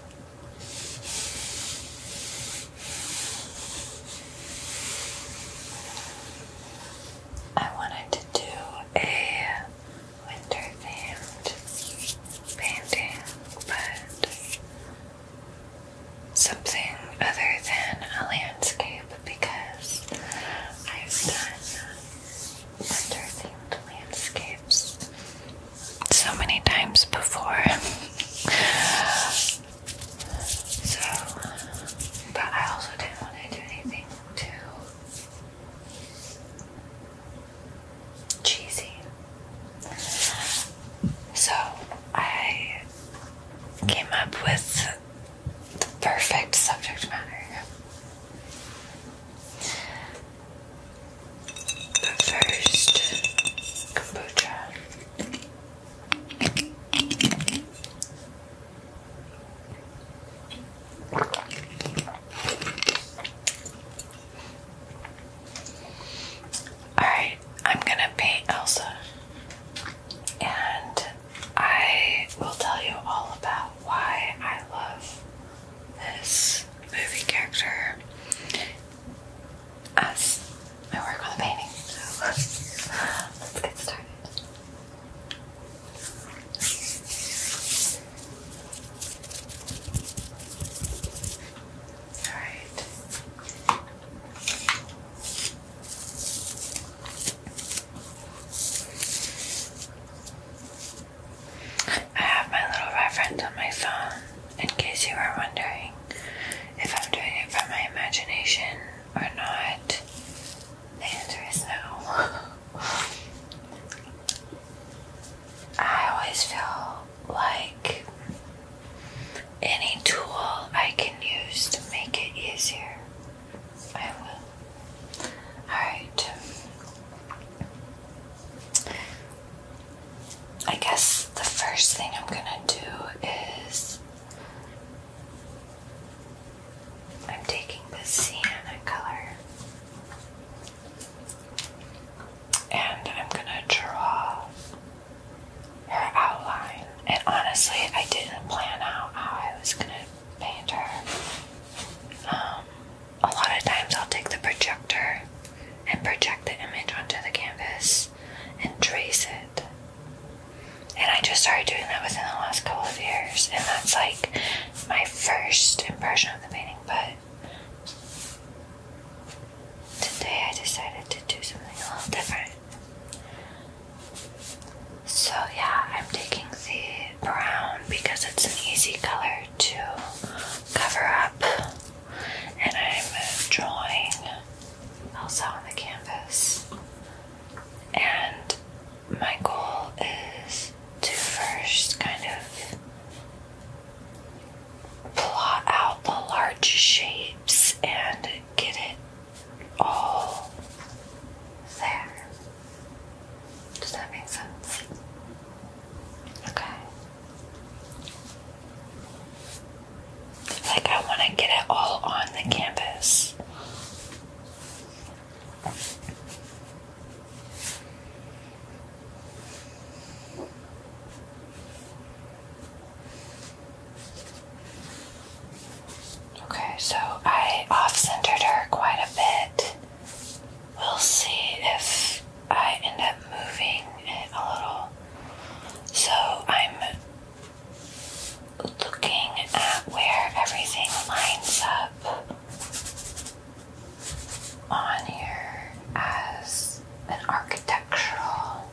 I wanted to do a winter themed painting, but something other than a landscape because I've done winter themed landscapes so many times before. so, but I also didn't want to do anything too cheesy. So, I came up with the perfect subject matter. But first, kombucha. Alright, I'm gonna paint Elsa. And I will tell you all about why I love this movie character as my work on the painting. So let's get started. All right. I have my little reference on my phone in case you are wondering if I'm doing it from my imagination or not, the answer is no. I always feel like any tool I can use to make it easier, I will. Alright. I guess the first thing I'm gonna do is I'm taking the sienna color and I'm gonna draw her outline. And honestly, I didn't plan out how I was gonna paint her. Um, a lot of times I'll take the projector and project the image onto the canvas and trace it. And I just started doing that within the last couple of years, and that's like my first impression of the painting. But today I decided to do something a little different. So, yeah, I'm taking the brown because it's an easy color to cover up and I'm drawing also on the canvas. And my goal is to first kind of plot out the large shapes and get it all there. Does that make sense? Okay. Like, I want to get it all on the canvas. Okay, so I off centered her quite a bit. We'll see if I end up moving it a little. So I'm looking at where everything lines up on here as an architectural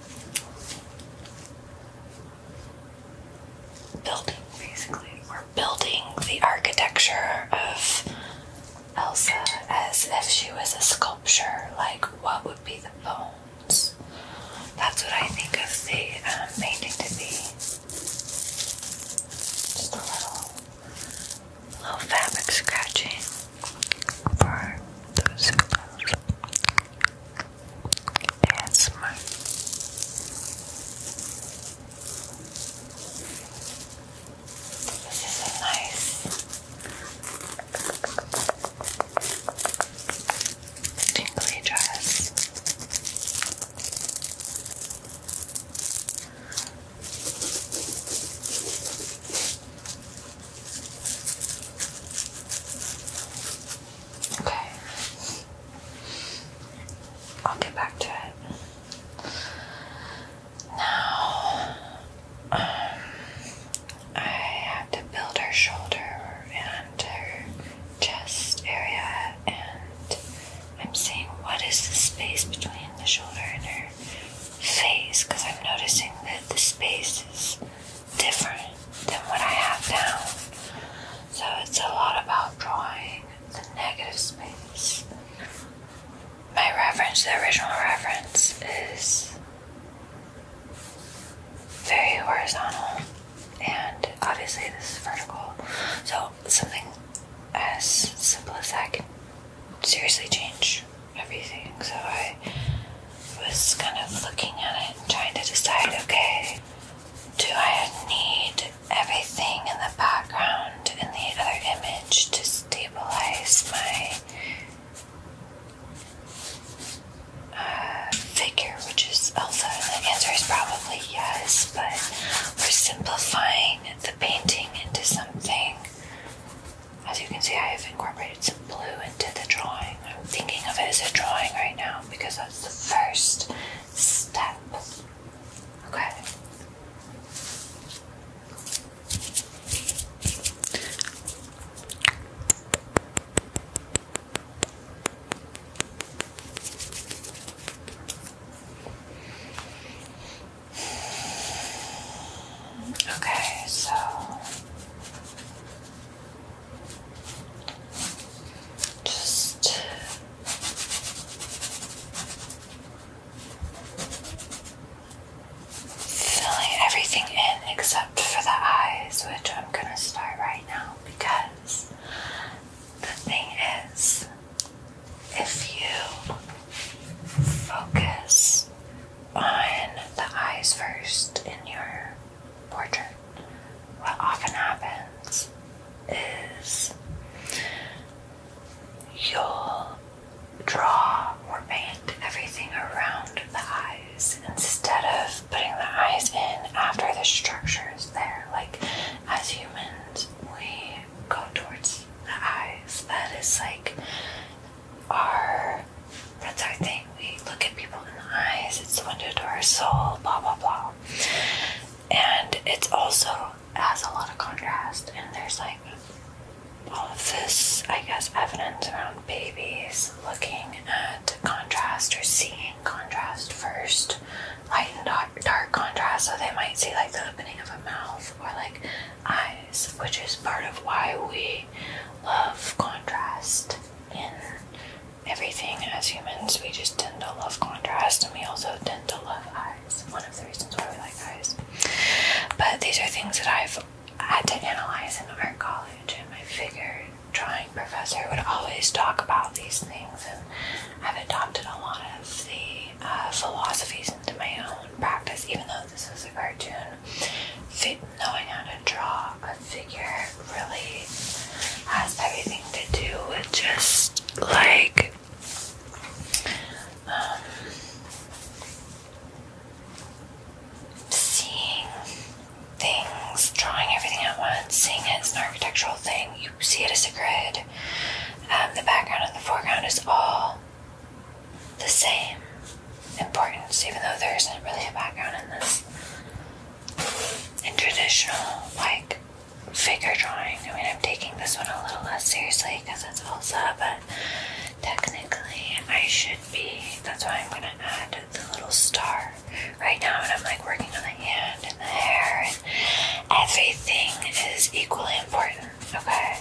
building, basically. We're building the architecture of Elsa as if she was a sculpture. Like, what be the bones. That's what I think of the um, to be. Just a little, little fabric scratching for those who love ASMR. This is nice Tingly dress. Okay. I'll get back to it. Now I have to build her shoulder and her chest area, and I'm seeing what is the space between the shoulder and her face because I'm noticing that the space is different than what I have now. So it's a lot about drawing the negative space. My reference, the original reference, is very horizontal, and obviously this is vertical. So something as simple as that can seriously change everything. So I was kind of looking at it and trying to decide, okay, do I need everything in the background in the other image to stabilize my uh, figure, which is Elsa? the answer is probably yes, but we're simplifying the painting into something. As you can see, I have incorporated some blue into the drawing. I'm thinking of it as a drawing right now because that's the first step. Okay. Okay, so just filling everything in except for the eyes, which I'm gonna start right now because the thing is, if you focus on the eyes first in your portrait, what often happens is you'll draw or paint everything around the eyes instead of putting the eyes in after the structure is there. Like, as humans, we go towards the eyes. That is like our, that's our thing. We look at people in the eyes, it's the window to our soul, blah, blah, blah. And it's also has a lot of contrast, and there's like all of this, I guess, evidence around babies looking at contrast or seeing contrast first, light and dark contrast. So they might see like the opening of a mouth or like eyes, which is part of why we love contrast in everything as humans. We just tend to love contrast and we also tend to love eyes. One of the reasons why we like eyes. But these are things that I've I had to analyze in art college, and I figured drawing professor would always talk about these things, and I've adopted a lot of the uh, philosophies into my own practice, even though this is a cartoon. knowing how to draw a figure really has everything to do with just like um, seeing things, drawing everything at once, seeing it as an architectural thing. You see it as a grid. Um, the background and the foreground is all the same importance, even though there isn't really a background in this. In traditional, like, figure drawing, I mean, I'm taking this one a little less seriously because it's Elsa, but technically, I should be. That's why I'm going to add the little star right now. And I'm like working on the hand and the hair, and everything is equally important, okay?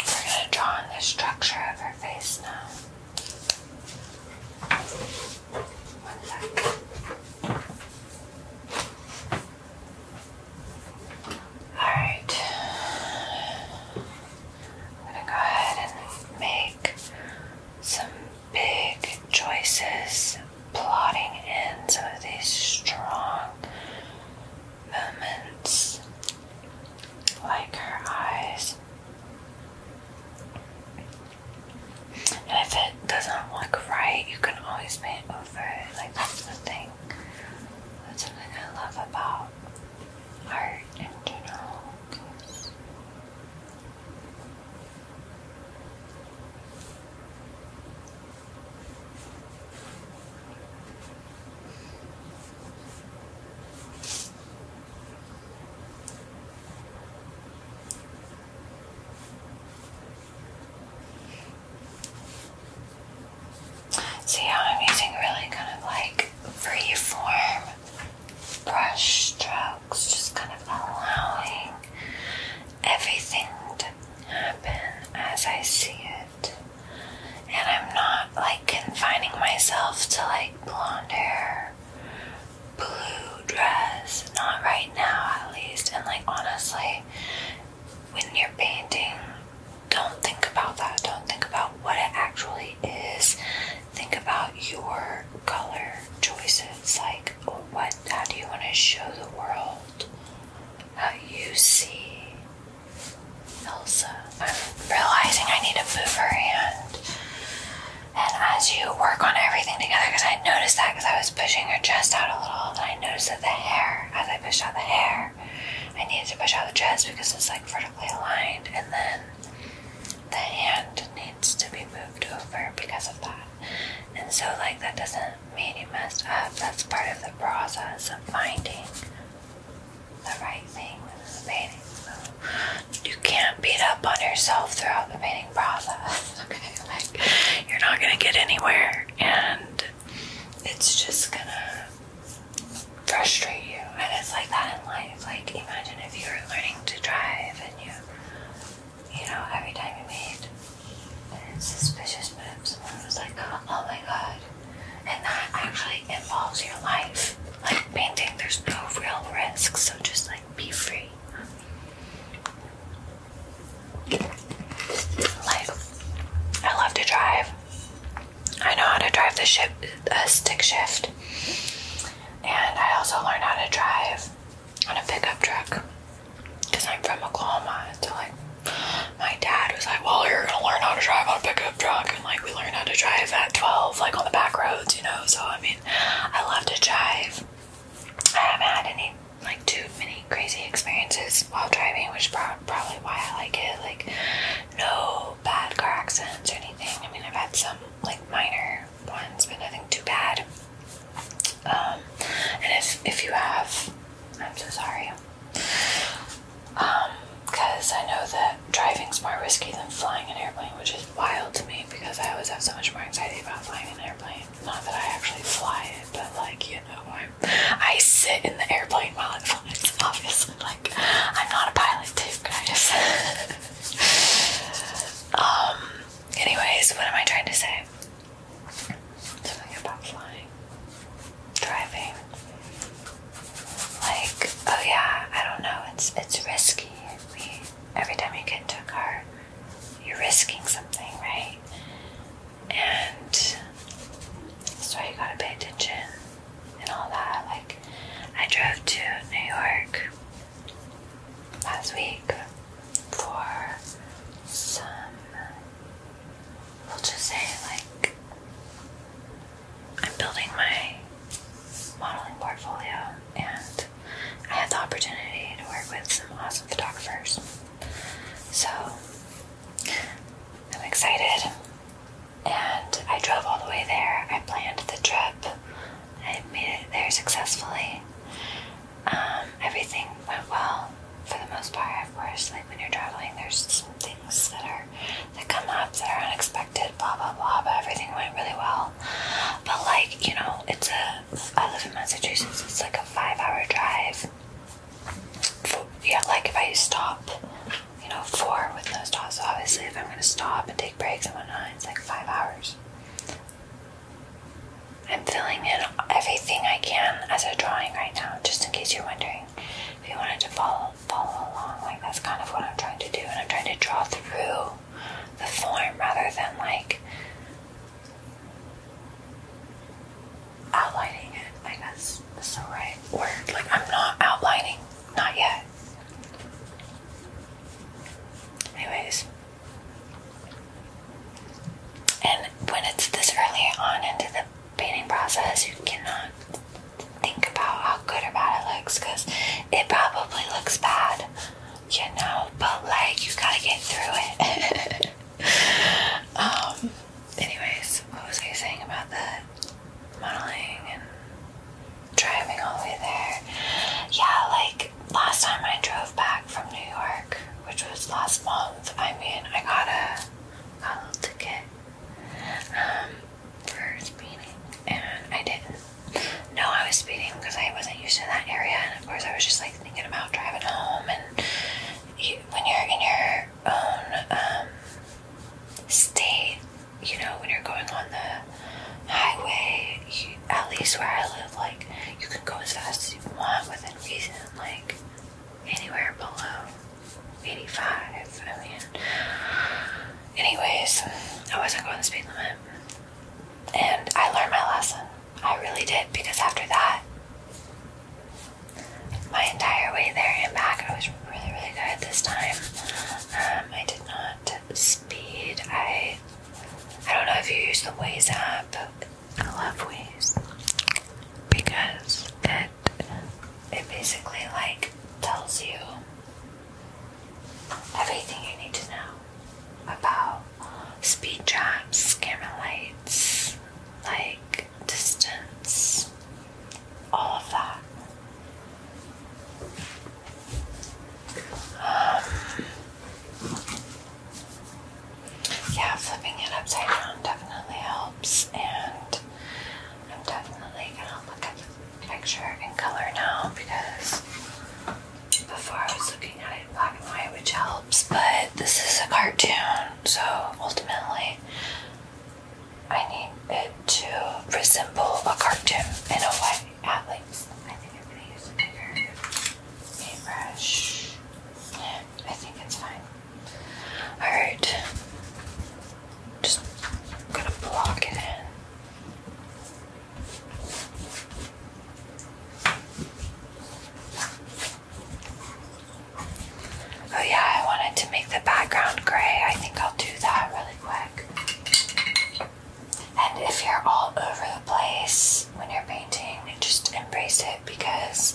We're going to draw on the structure of her face now. One Alright. I'm gonna go ahead and make some big choices, plotting in some of these strong moments, like her eyes. And if it doesn't look right, you can always paint over it. Like that's the thing. That's something I love about art in general, See how I'm using really kind of like free form brush strokes, just kind of allowing everything to happen as I see it. And I'm not like confining myself to like blonde hair, blue dress, not right now at least. And like honestly, when you're painting, don't think about that. Don't think about what it actually is. Think about your color choices. Like, what, how do you want to show the world? How you see Elsa. I'm realizing I need to move her hand. And as you work on everything together, because I noticed that because I was pushing her dress out a little, and I noticed that the hair, as I push out the hair, I need to push out the chest because it's like vertically aligned, and then the hand needs to be moved over because of that. And so, like, that doesn't mean you messed up, that's part of the process of finding the right thing within the painting. you can't beat up on yourself throughout the painting process, okay? Like, you're not gonna get anywhere, and it's just gonna frustrate you. And it's like that in life. Like, imagine if you were learning to drive and you, you know, every time you made suspicious move, someone was like, oh my god. And that actually involves your life. Like, painting, there's no real risk, so just like be free. Like, I love to drive. I know how to drive the ship, a stick shift, and I also learned how to drive on a pickup truck because I'm from Oklahoma. So like, my dad was like, "Well, you're gonna learn how to drive on a pickup truck," and like, we learned how to drive at 12, like on the back roads, you know. So I mean, I love to drive. I haven't had any like too many crazy experiences while driving, which is probably why I like it. Like, no bad car accidents or anything. I mean, I've had some like minor ones, but nothing too bad. Um, and if if you have, I'm so sorry. Um, because I know that driving's more risky than flying an airplane, which is wild to me because I always have so much more anxiety about flying an airplane. Not that I actually fly it, but like you know, I'm, I sit in the airplane while it flies. It's obviously. Like, I'm not a pilot, too, guys. um, anyways, what am I trying to say? Something about flying, driving. Like, oh yeah, I don't know. It's it's risky. We, every time you get into a car, you're risking something, right? And so you gotta pay attention and all that. Like, I drove to New York last week for some, we'll just say, like, I'm building my modeling portfolio, and I had the opportunity to work with some awesome photographers. So, I'm excited and I drove all the way there. I planned the trip. I made it there successfully. Um, everything went well for the most part, of course. Like when you're traveling, there's some things that are that come up that are unexpected, blah blah blah. But everything went really well. But like you know, it's a I live in Massachusetts. It's like a five-hour drive. For, yeah, like if I stop you know, four with no stops. So obviously, if I'm going to stop and take breaks and whatnot, it's like five hours. I'm filling in everything I can as a drawing right now, just in case you're wondering. If you wanted to follow follow along, like that's kind of what I'm trying to do, and I'm trying to draw through the form rather than like outlining it. Like that's, that's the right word. Like I'm not outlining not yet. Anyways. And when it's this early on into the painting process, you cannot think about how good or bad it looks because it probably looks bad, you know, but like you gotta get through it. um, anyways, what was I saying about that? modeling and driving all the way there. Yeah, like last time I drove back from New York, which was last month, I mean, I got a, got a ticket um, for speeding, and I didn't No, I was speeding because I wasn't used to that area, and of course, I was just like thinking about driving home. And when you're in your own um, state, you know, when you're going on the highway, at least where I live, like, you can go as fast as you want within reason, like, anywhere below 85. I mean, anyways, I wasn't going the speed limit. And I learned my lesson. I really did, because after that, my entire way there and back, I was really, really good this time. Um, I did not speed. I I don't know if you use the Waze app. I love Waze because it it basically like tells you everything you need to know about speed traps, camera lights, like distance, all of that. yeah, flipping it upside down definitely helps, and I'm definitely gonna look at the picture in color now because before I was looking at it in black and white, which helps, but this is a cartoon, so ultimately I need it to resemble a cartoon in a way, at least. I think I'm gonna use a bigger paintbrush. Yeah, I think it's fine. Alright. Just gonna block it in. Oh yeah, I wanted to make the background gray. I think I'll do that and if you're all over the place when you're painting, just embrace it because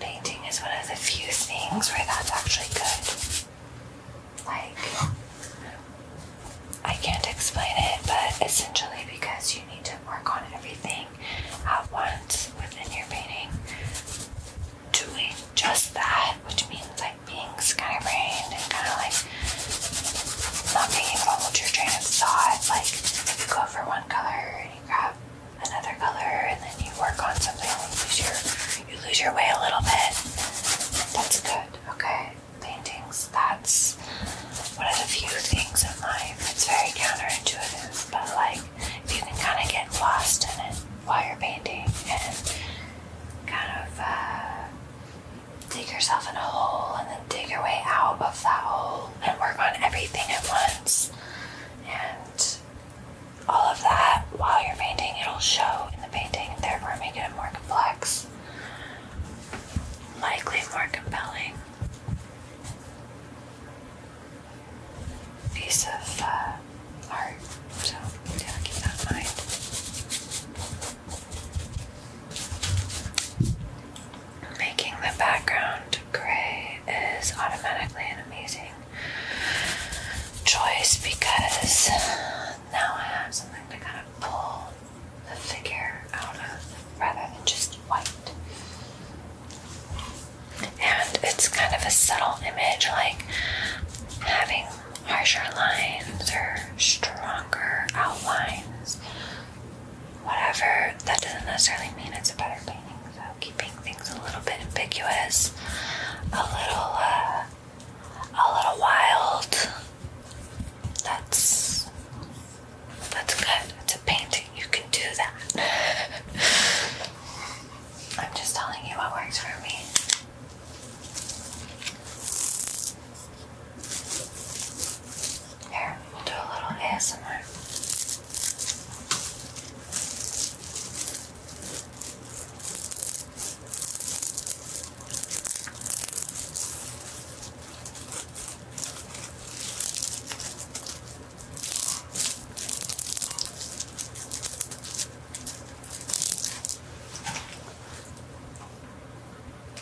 painting is one of the few things where that's actually good. Like, I can't explain it, but essentially because you need to work on everything at once within your painting doing just that, which means like being kind of brained and kind of like not being able to hold your train of thought. Like you go for one color and you grab another color, and then you work on something and you lose your you lose your way a little bit. That's good. Okay, paintings. That's one of the few things in life. that's very counterintuitive, but like you can kind of get lost in it while you're painting and kind of uh, dig yourself in a hole and then dig your way out of that hole and work on everything at once. And all of that while you're painting, it'll show in the painting, and therefore make it more complex, likely more compelling piece of uh, art. So yeah, keep that in mind. Making the background gray is automatically an amazing choice because now I have something to kind of pull the figure out of rather than just white and it's kind of a subtle image like having harsher lines or stronger outlines whatever that doesn't necessarily mean it's a better painting so keeping things a little bit ambiguous a little uh, a little wild that's that's good it's a painting you can do that I'm just telling you what works for me. Here, we'll do a little ASMR.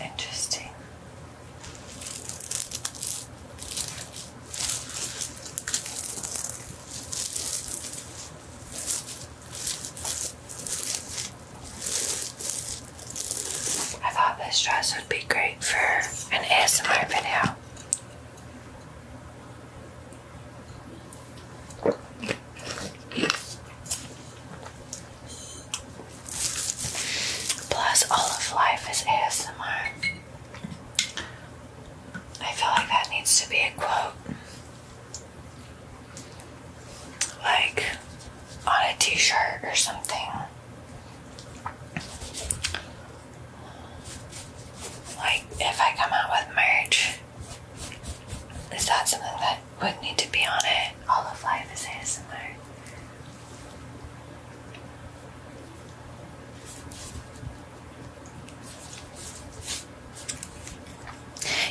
Interesting. I thought this dress would be great for an ASMR video. Plus, all of life is ASMR. I feel like that needs to be a quote. Like on a t shirt or something. Like, if I come out with merch, is that something that would need to be on it? All of life is ASMR.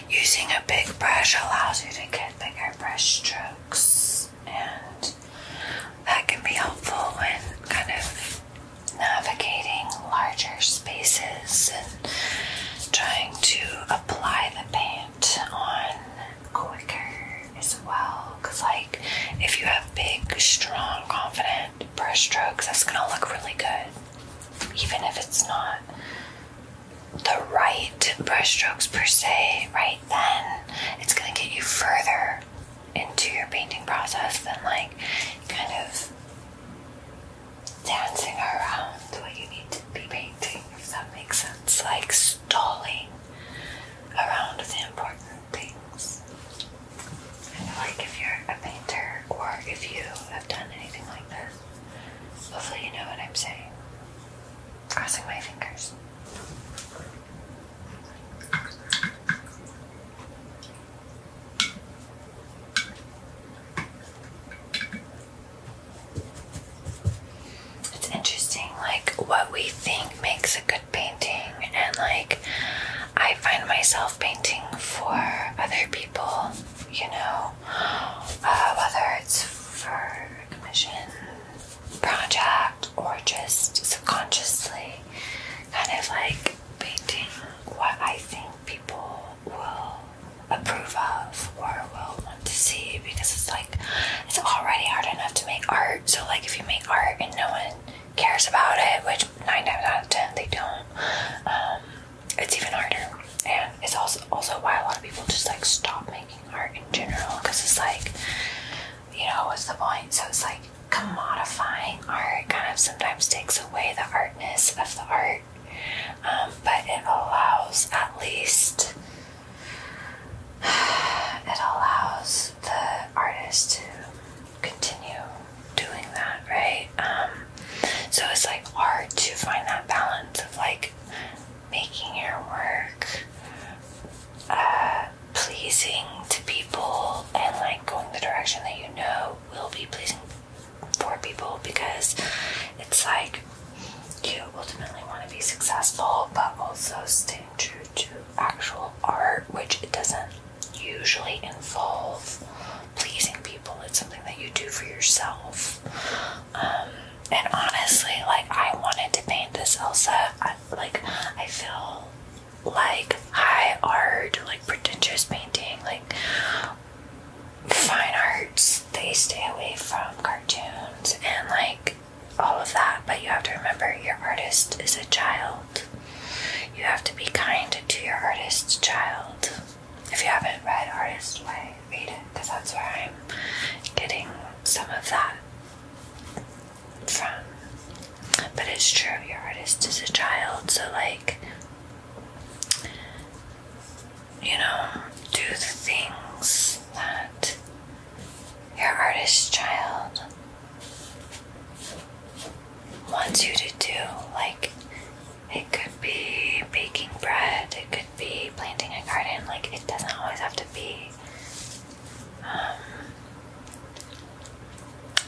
Using a big brush allows you to get bigger brush strokes, and that can be helpful when kind of navigating larger spaces and trying to apply the paint on quicker as well. Because, like, if you have big, strong, confident brushstrokes, that's going to look really good, even if it's not the right brushstrokes per se, right then, it's going to get you further into your painting process than like kind of dancing around what you need to be painting, if that makes sense. Like stalling around the important things. like if you're a painter or if you have done anything like this, hopefully you know what I'm saying. Crossing my fingers. It's interesting, like, what we think makes a good painting, and like, I find myself painting for other people, you know, uh, whether it's for a commission project or just subconsciously kind of like painting what I think people will approve of or will want to see because it's like it's already hard enough to make art. So like if you make art and no one cares about it, which nine times out of ten they don't, um, it's even harder. And it's also also why a lot of people just like stop making art in general because it's like you know what's the point? So it's like commodifying art kind of sometimes takes away the artness of the art um, but it allows at least it allows the artist to continue doing that, right? Um, so it's like hard to find that balance of like making your work uh, pleasing to people and like going the direction that you know will be pleasing for people because it's like you ultimately want to be successful but also staying true to actual art, which it doesn't usually involve pleasing people. It's something that you do for yourself. Um, and honestly, like I wanted to paint this Elsa. I, like I feel like high art, like pretentious painting, like fine arts, they stay away from cartoons and like all of that, but you have to remember your artist is a child. You have to be kind to your artist's child. If you haven't read Artist Way, read it because that's where I'm getting some of that from. But it's true, your artist is a child, so like you know, do the things that your artist child wants you to do. Like, it could be baking bread, it could be planting a garden, like, it doesn't always have to be um,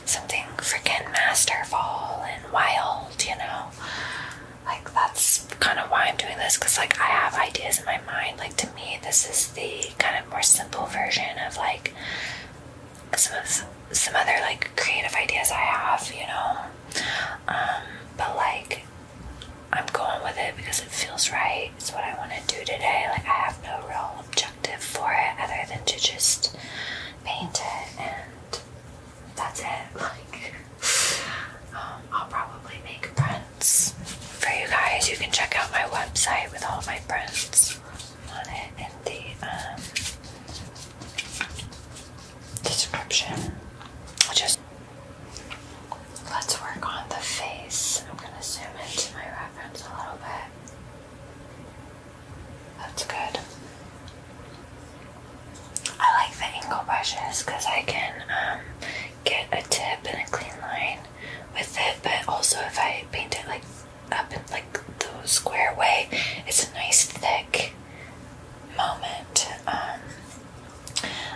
something freaking masterful and wild, you know. Like that's kind of why I'm doing this because like I have ideas in my mind. Like to me, this is the kind of more simple version of like some some other like creative ideas I have, you know. Um, but like I'm going with it because it feels right. It's what I want to do today. Like I have no real objective for it other than to just paint it and that's it. Like um, I'll probably make prints for you guys. You can check out my website with all my prints on it in the um, description. I'll just let's work on the face. I'm gonna zoom into my reference a little bit. That's good. I like the angle brushes because I can um, get a tip and a clean line with it, but also if I paint it like up in like the square way, it's a nice thick moment. Um,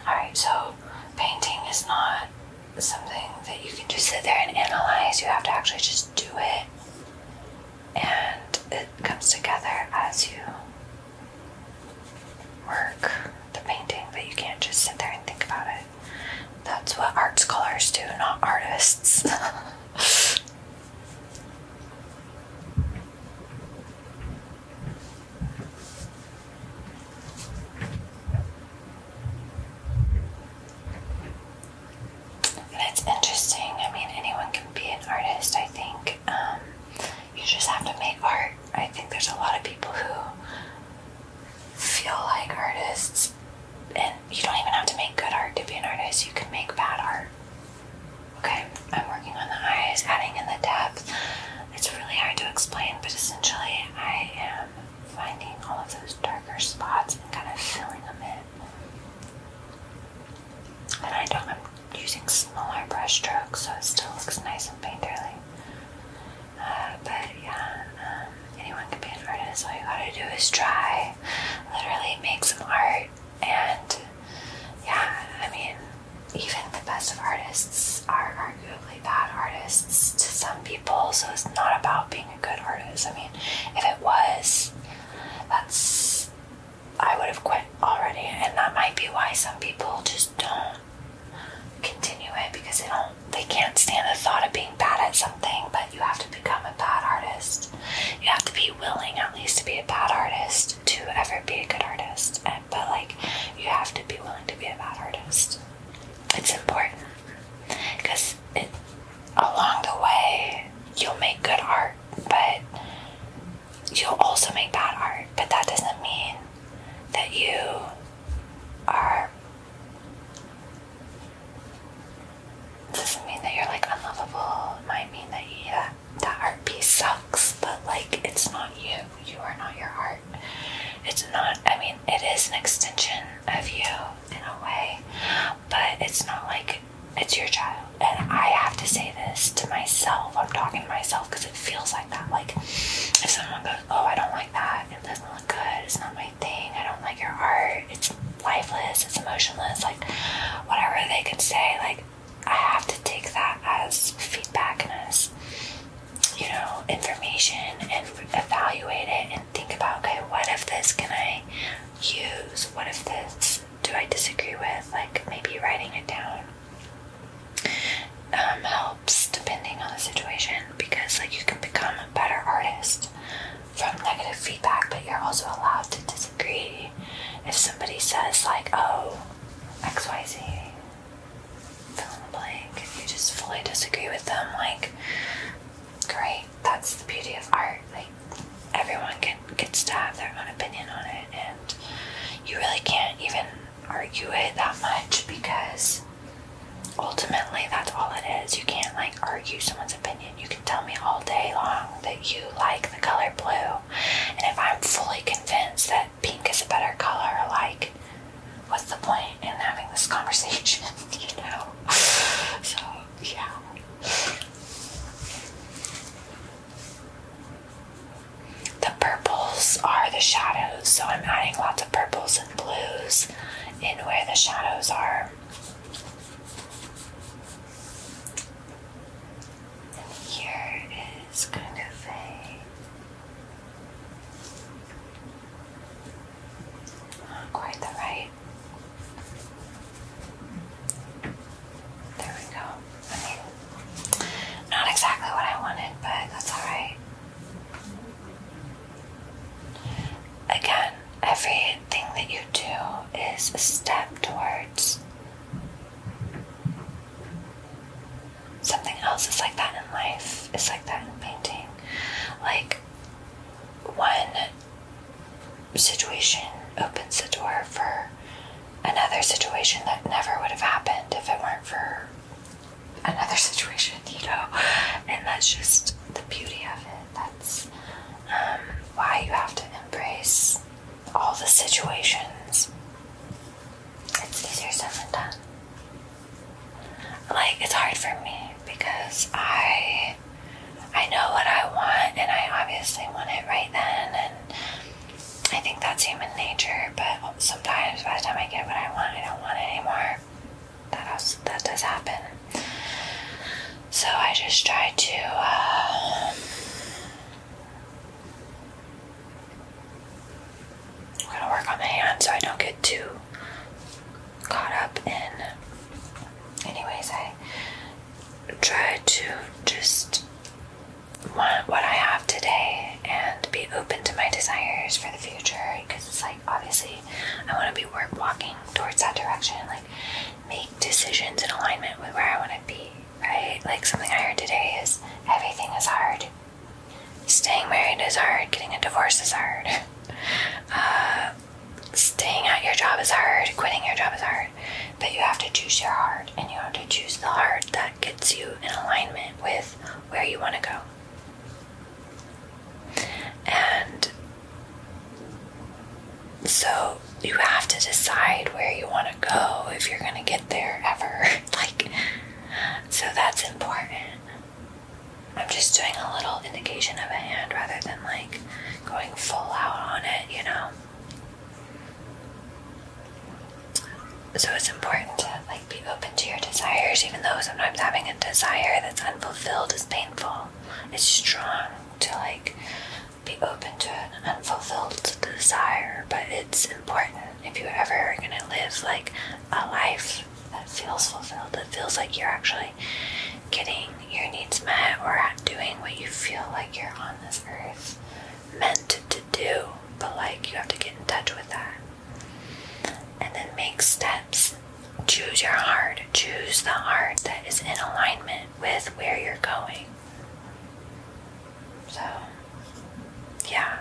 alright, so painting is not something that you can just sit there and analyze, you have to actually just do it, and it comes together as you work the painting, but you can't just sit there and think about it. That's what art scholars do, not artists. And it's interesting. I mean, anyone can be an artist, I think. Um, you just have to make art. I think there's a lot of people who feel like artists, and you don't even have to make good art to be an artist, you can make bad art. Okay, I'm working on the eyes, adding in the depth. It's really hard to explain, but essentially, I am finding all of those darker spots and kind of filling them in. And I don't, I'm using smaller brush strokes so it still looks nice and painterly. Uh, but yeah, um, anyone can be an artist. All you gotta do is try, literally make some art. And yeah, I mean, even the best of artists are arguably bad artists to some people, so it's not about being a good artist. I mean, if it was, that's I would have quit already, and that might be why some people just don't continue it because they don't they can't stand the thought of being bad at something, but you have to become a bad artist. You have to be willing at least to be a bad artist to ever be a good artist. And, but like you have to be willing to be a bad artist. It's important because it along the way you'll make good art, but you will also make bad art, but that doesn't mean that you are. Doesn't mean that you're like unlovable. It might mean that yeah, that art piece sucks, but like it's not you. You are not your art. It's not. I mean, it is an extension of you in a way, but it's not like it's your job and I have to say this to myself. I'm talking to myself because it feels like that. Like if someone goes, "Oh, I don't like that. It doesn't look good. It's not my thing. I don't like your art. It's lifeless. It's emotionless." Like whatever they can say, like I have to take that as feedback and as you know information and evaluate it and think about, okay, what if this can I use? What if this do I disagree with? Like maybe writing it down um, helps depending on the situation because like you can become a better artist from negative feedback but you're also allowed to disagree if somebody says like oh xyz fill in the blank if you just fully disagree with them like great that's the beauty of art like everyone can, gets to have their own opinion on it and you really can't even argue it that much because ultimately that's all it is. You can't like argue someone's opinion. You can tell me all day long that you like the color blue, and if I'm fully convinced that pink is a better color, like what's the point in having this conversation, you know? So, yeah. The purples are the shadows, so I'm adding lots of purples and blues in where the shadows are. here is kind of a not quite the right. There we go not exactly what I wanted, but that's alright. Again, everything that you do is a step towards something else. It's like that in life, it's like that in painting. Like, one situation opens the door for another situation that never would have happened if it weren't for another situation, you know. And that's just the beauty of it. That's um, why you have to embrace all the situations. It's easier said than done. Like it's hard for me because I I know what I want and I obviously want it right then and I think that's human nature, but sometimes by the time I get what I want, I don't want it anymore. That also, that does happen. So I just try to I'm uh, gonna work on my hand so I don't get too caught up in. Anyways, I try to just want what I have today and be open to my desires for the future because it's like obviously I want to be work walking towards that direction like make decisions in alignment with where I want to be right like something I heard today is everything is hard staying married is hard getting a divorce is hard uh, staying at your job is hard quitting your job is hard but you have to choose your heart and you have to choose the heart that gets you in alignment with where you want to go. And so you have to decide where you want to go if you're going to get there ever. like, so that's important. I'm just doing a little indication of a hand rather than like going full out on it, you know. So it's important to like be open to your desires, even though sometimes having a desire that's unfulfilled is painful. It's strong to like be open to an unfulfilled desire, but it's important if you are ever gonna live like a life that feels fulfilled, that feels like you're actually getting your needs met or doing what you feel like you're on this earth meant to do, but like you have to get in touch with that. And then make steps. Choose your heart. Choose the heart that is in alignment with where you're going. So, yeah.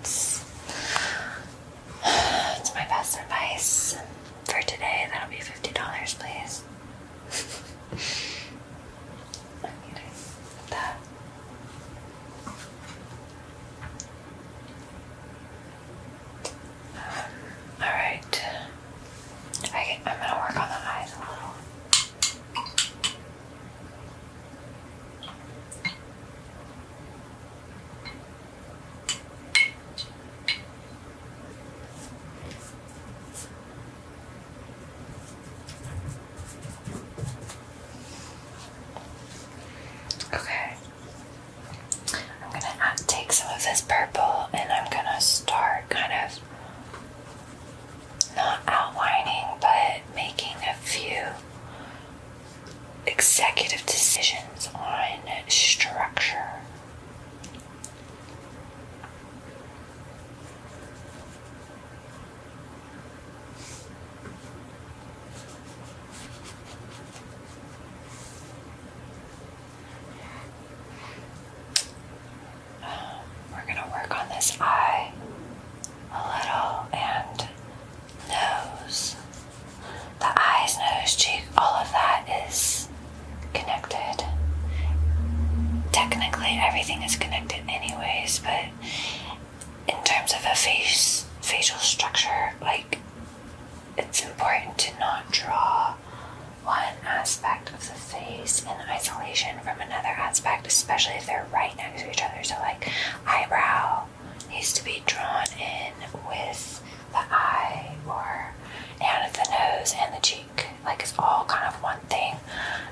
It's, it's my best advice for today. That'll be $50, please. all right. I, I'm gonna work on the eyes a little. Okay. I'm going to take some of this purple and I'm going to start kind of not outlining but making a few executive decisions on structure. We're going to work on this eye a little and nose. The eyes, nose, cheek, all of that is connected. Technically, everything is connected, anyways, but in terms of a face facial structure like it's important to not draw one aspect of the face in isolation from another aspect especially if they're right next to each other so like eyebrow needs to be drawn in with the eye or and the nose and the cheek like it's all kind of one thing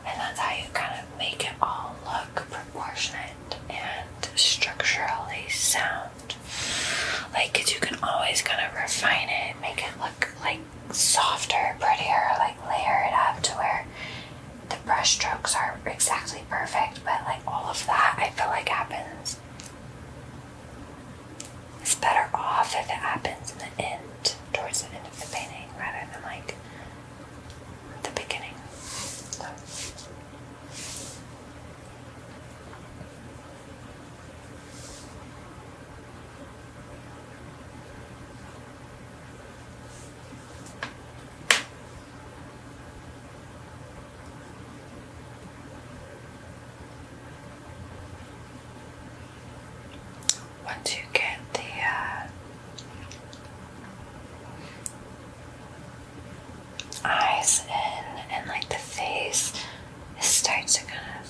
and that's how you kind of make it all look proportionate and structurally sound. Like, cause you can always kind of refine it, make it look like softer, prettier, like layer it up to where the brush strokes are exactly perfect, but like all of that I feel like happens. It's better off if it happens in the end, towards the end of the painting, rather than like the beginning once you get the uh, eyes in and like the face, it starts to kind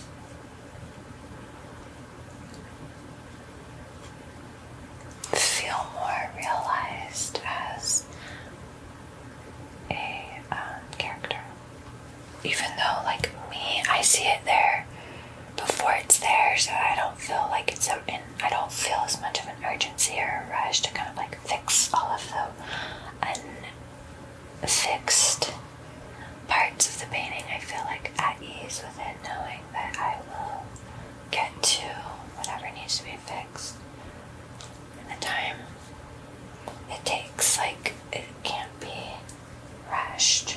of feel more realized as a um, character. Even though, like me, I see it there before it's there, so I don't feel like it's a, and I don't feel as much of an urgency or a rush to kind of like fix all of the unfixed parts of the painting. I feel like at ease with it, knowing that I will get to whatever needs to be fixed in the time it takes. Like it can't be rushed.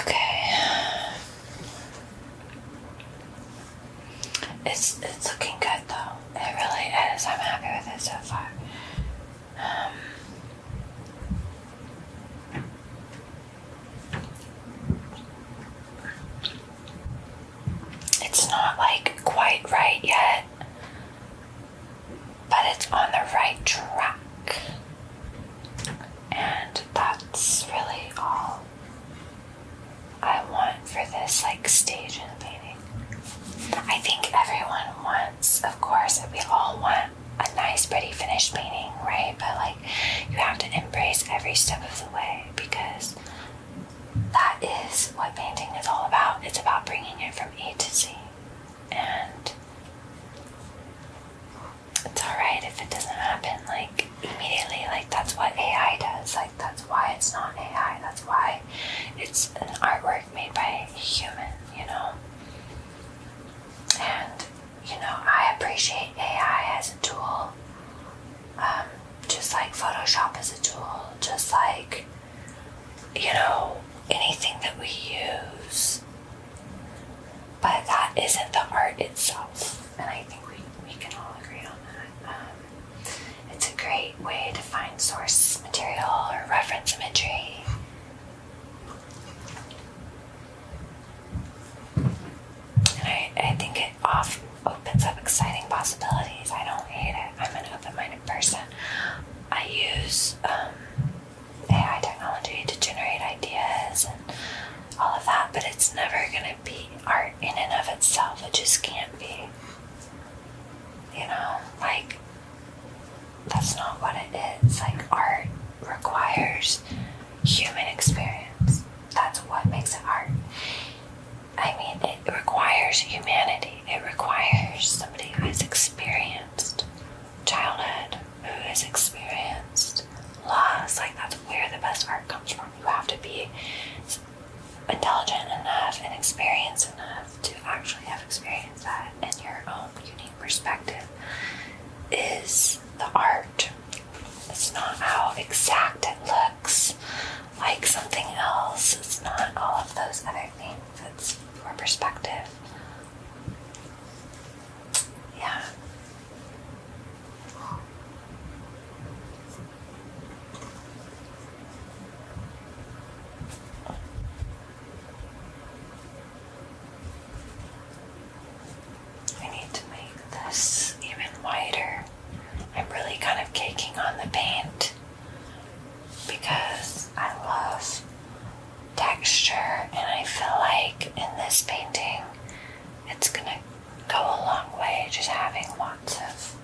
Okay. It's it's looking good though. It really is. I'm happy with it so far. Um, it's not like quite right yet but it's on the right track. And that's really all I want for this like stage in the painting. I think everyone wants, of course, we all want a nice pretty finished painting, right? But like you have to embrace every step of the way because that is what painting is all about. It's about bringing it from A to Z and it's alright if it doesn't happen like immediately. Like, that's what AI does. Like, that's why it's not AI. That's why it's an artwork made by a human, you know? And, you know, I appreciate AI as a tool. Um, just like Photoshop is a tool, just like you know, anything that we use. But that isn't the art itself, and I think we, we can all agree on that. Um, it's a great way to find source material or reference imagery. And I, I think it often opens up exciting possibilities. I don't hate it. I'm going to open my person. I use um, AI technology to generate ideas and all of that, but it's never going to be art in and of itself. It just can't be. You know, like, that's not what it is. Like, art requires human experience. That's what makes it art. I mean, it requires humanity, it requires somebody who has experience childhood, who has experienced loss. Like, that's where the best art comes from. You have to be intelligent enough and experienced enough to actually have experienced that and your own unique perspective is the art. It's not how exact it looks like something else. It's not all of those other things. It's your perspective. Yeah. I need to make this even wider. I'm really kind of caking on the paint because I love texture and I feel like in this painting it's gonna go a long way just having lots of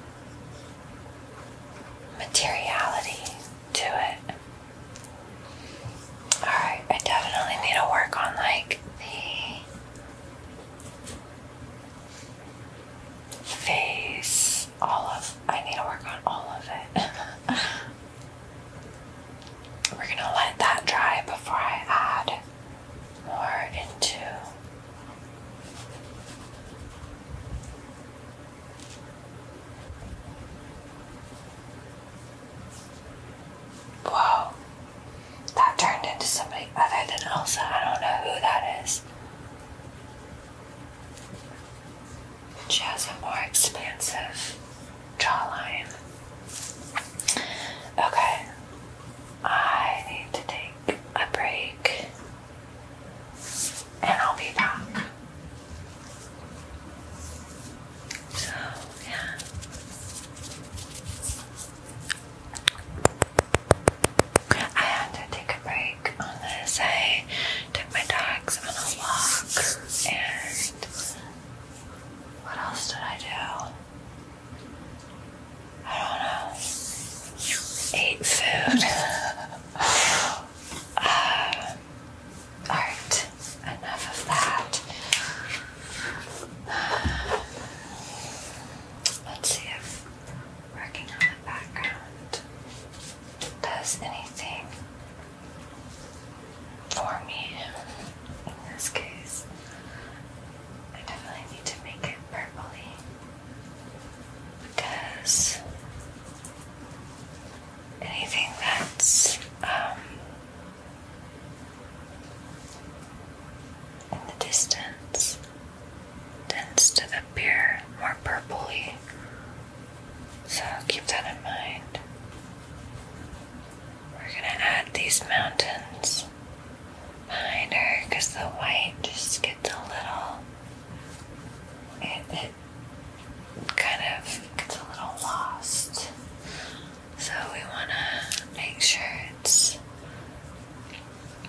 materiality to it. Alright, I definitely need to work on like the face, all of I need to work on all of it. We're going to let that dry before I add more into Whoa, that turned into somebody other than Elsa. I don't know who that is. She has a more expansive jawline. Okay, I need to take a break and I'll be back. So, yeah. I had to take a break on this. I took my dogs on a walk and what else did I do? I don't know. Ate food. Alright, uh, enough of that. Let's see if working on the background does anything for me in this case. I definitely need to make it purpley because anything that's um, in the distance tends to appear more purpley so keep that in mind. We're going to add these mountains behind her because the white just gets a little. It, it kind of gets a little lost. So we want to make sure it's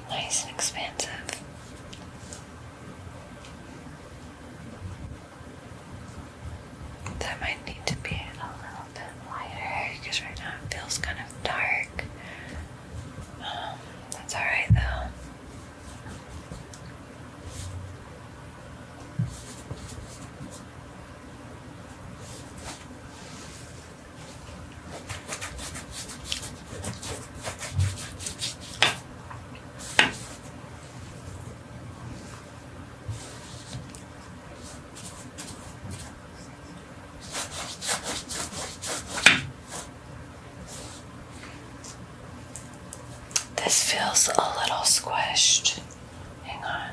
nice and expansive. That might need to be a little bit lighter because right now it feels kind of dark. Um, that's alright though. This feels a little squished. Hang on.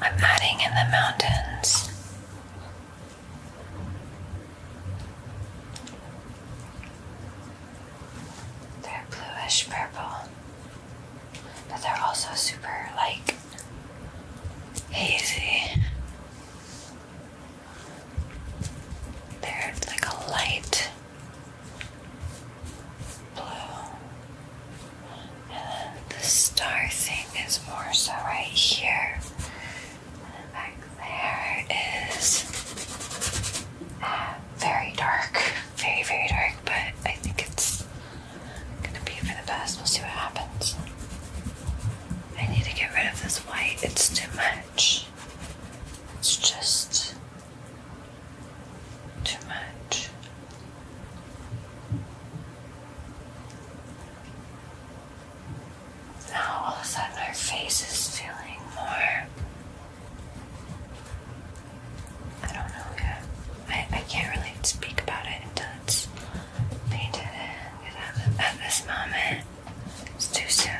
I'm adding in the mountains. They're bluish purple, but they're also super like hazy. They're like a light blue. And then the star thing is more so right here. And then back there is uh, very dark very, very dark, but I think it's gonna be for the best. We'll see what happens. I need to get rid of this white, it's too much. It's just too much. Now all of a sudden our face is feeling more I don't know, yeah. I, I can't really speak about it until it's painted in. At this moment, it's too soon.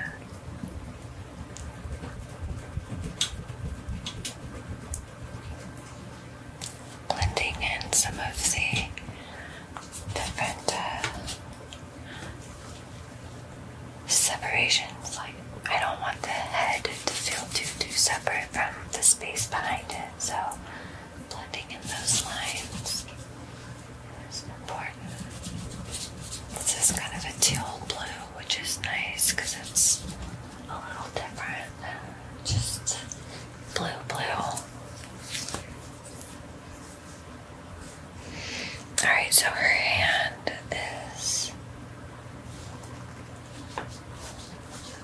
Blending in some of the different uh, separations. Like I don't want the head to feel too too separate from the space behind it. So blending in those lines is important. This is kind of a teal blue, which is nice because it's a little different just blue blue. Alright, so her hand is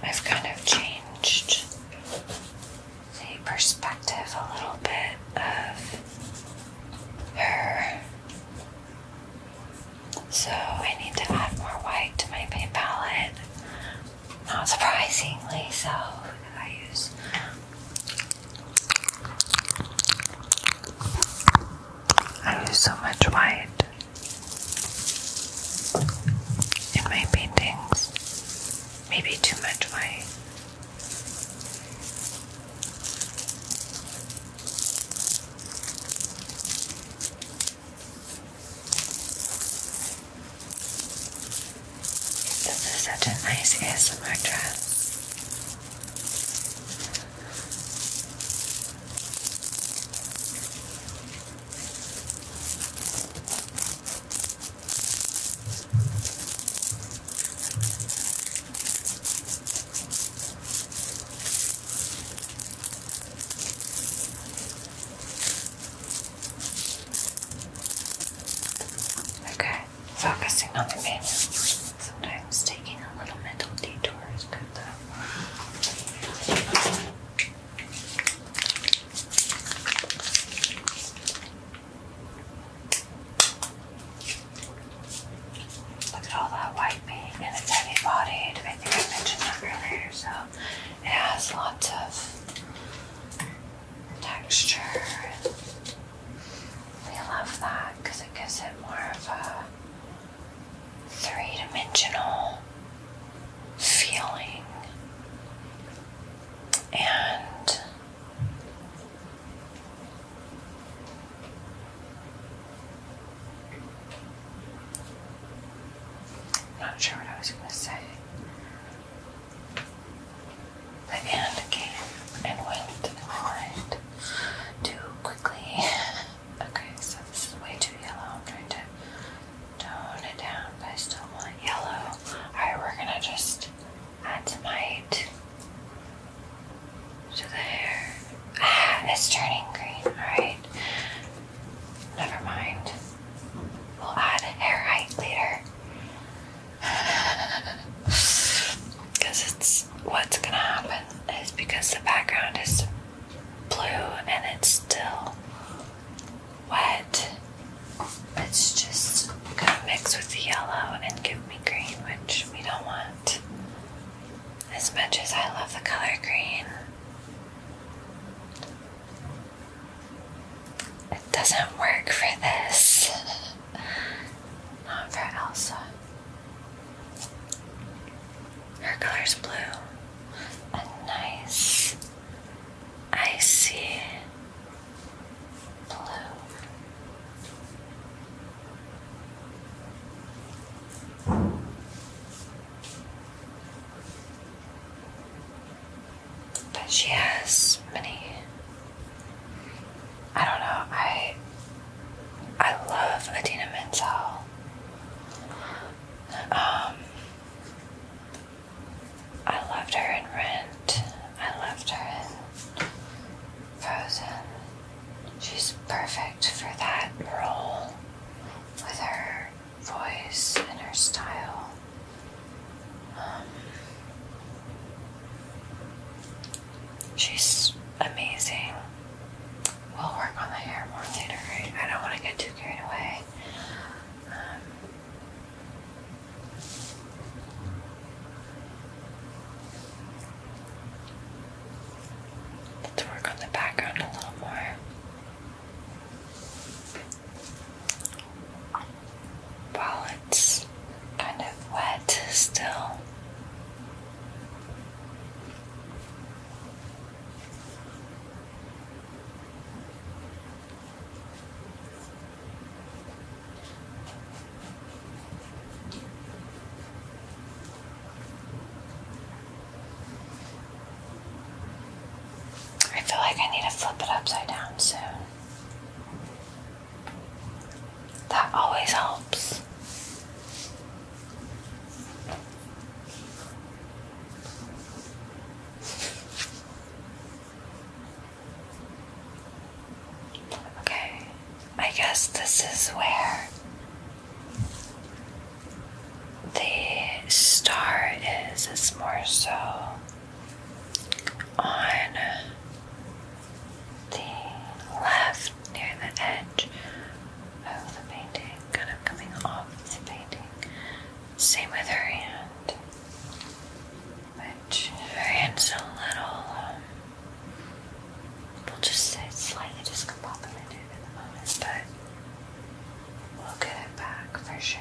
I've kind of changed the perspective a little bit of her. So I need to add more white to my paint palette. Not surprisingly so, I use I use so much white in my paintings. Maybe too much white. This is such a nice ASMR dress. Okay, focusing on the menu. Sometimes taking a little mental detour is good. Look at all that white meat and it's heavy bodied. I think I mentioned that earlier, so it has lots of texture. We love that because it gives it more of a three dimensional feeling, and not sure what I was going to say. The end came and went, and quickly Okay, so this is way too yellow. I'm trying to tone it down, but I still want yellow. Alright, we're gonna just add some white to the hair. Ah, it's turning green. Alright. Never mind. We'll add hair height later. Because it's what's gonna happen is because the background is blue and it's still wet. It's just gonna mix with the yellow and give me green, which we don't want. As much as I love the color green, it doesn't work for this. Not for Elsa. Her color is blue. A nice icy blue. But she has many. I don't know. I I love Adina Menzel. Um, I loved her in Rent. I loved her in Frozen. She's perfect for that role with her voice and her style. Um, she's amazing. We'll work on the hair more later, I don't want to get too carried away. Um, let's work on the background a little more. While it's kind of wet still. I feel like I need to flip it upside down soon. That always helps. Okay, I guess this is where the star is. It's more so on the left near the edge of oh, the painting, kind of coming off the painting. Same with her hand, which her hand's a little, um, we'll just say slightly discombobulated at the moment, but we'll get it back for sure.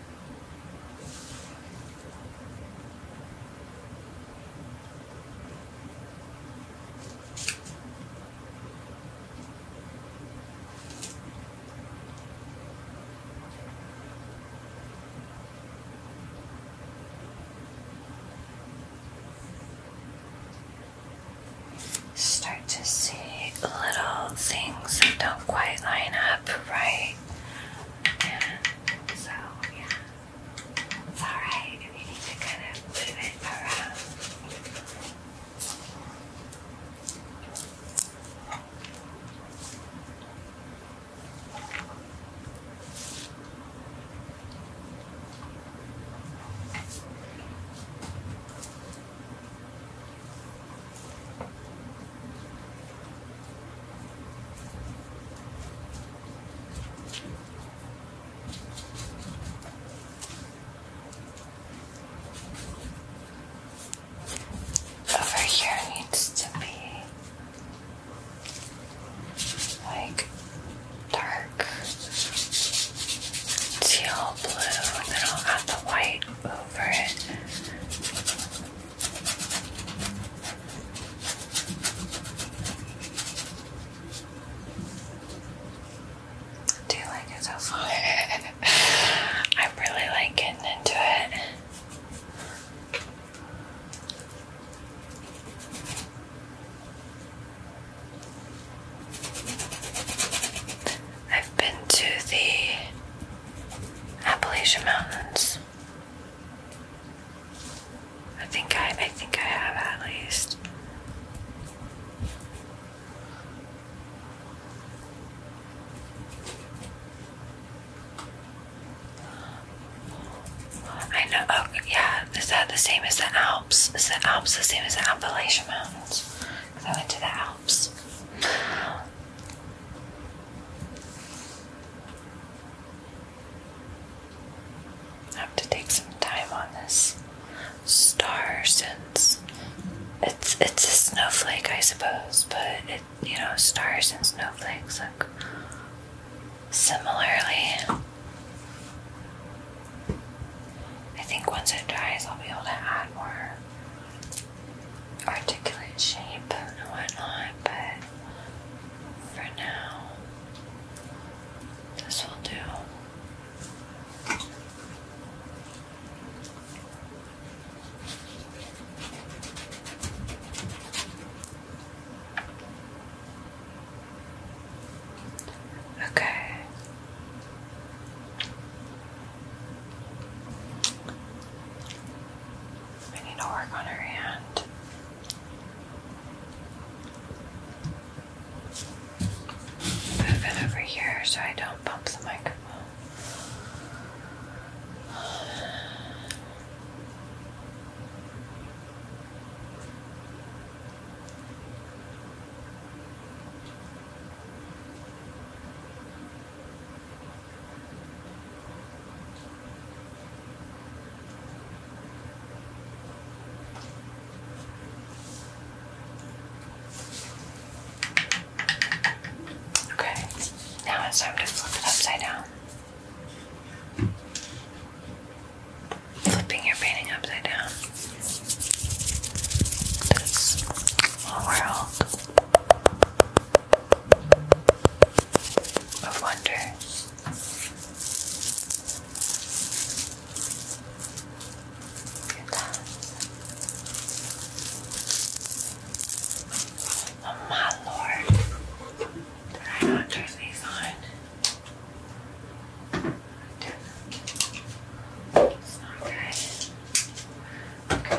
Start to see little things that don't quite line up right. And so, yeah, it's alright if you need to kind of move it around. Over here needs to be like dark teal blue, and then I'll add the white over it. Do you like it so far? i really like getting into it. I've been to the Appalachian Mountains I think I I think I have at least. I know. Oh, yeah. Is that the same as the Alps? Is the Alps the same as the Appalachian Mountains? I went to the Alps. I have to take some time on this star since it's it's a snowflake, I suppose, but it you know stars and snowflakes look similarly. I think once it dries, I'll be able to add more articulate shape and whatnot, but for now, this will do. Okay. I need to work on her hand. Move it over here so I don't bump the microphone. Okay, now it's time to flip it upside down. Flipping your painting upside down. This world of wonder. Oh my lord. Did I not turn these on? It's not good. Okay.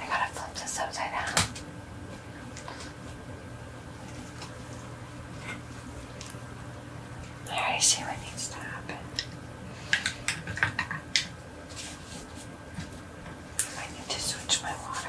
I gotta flip this upside down. I see what needs to happen. I need to switch my water.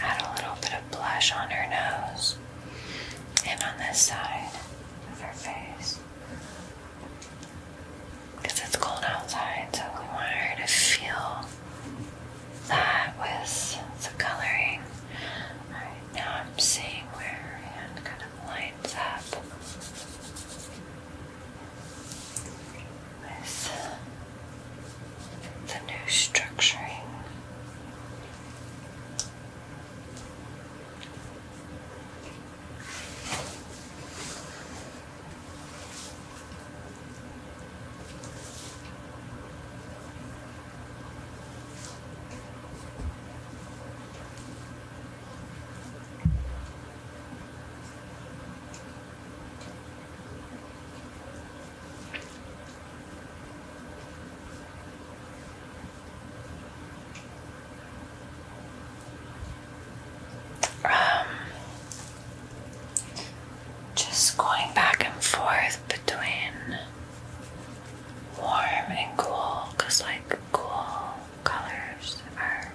Add a little bit of blush on her nose and on this side of her face. Because it's cold outside, so we want her to feel that with the coloring. Alright, now I'm seeing where her hand kind of lines up with the new structuring. Um, just going back and forth between warm and cool, like cool colors are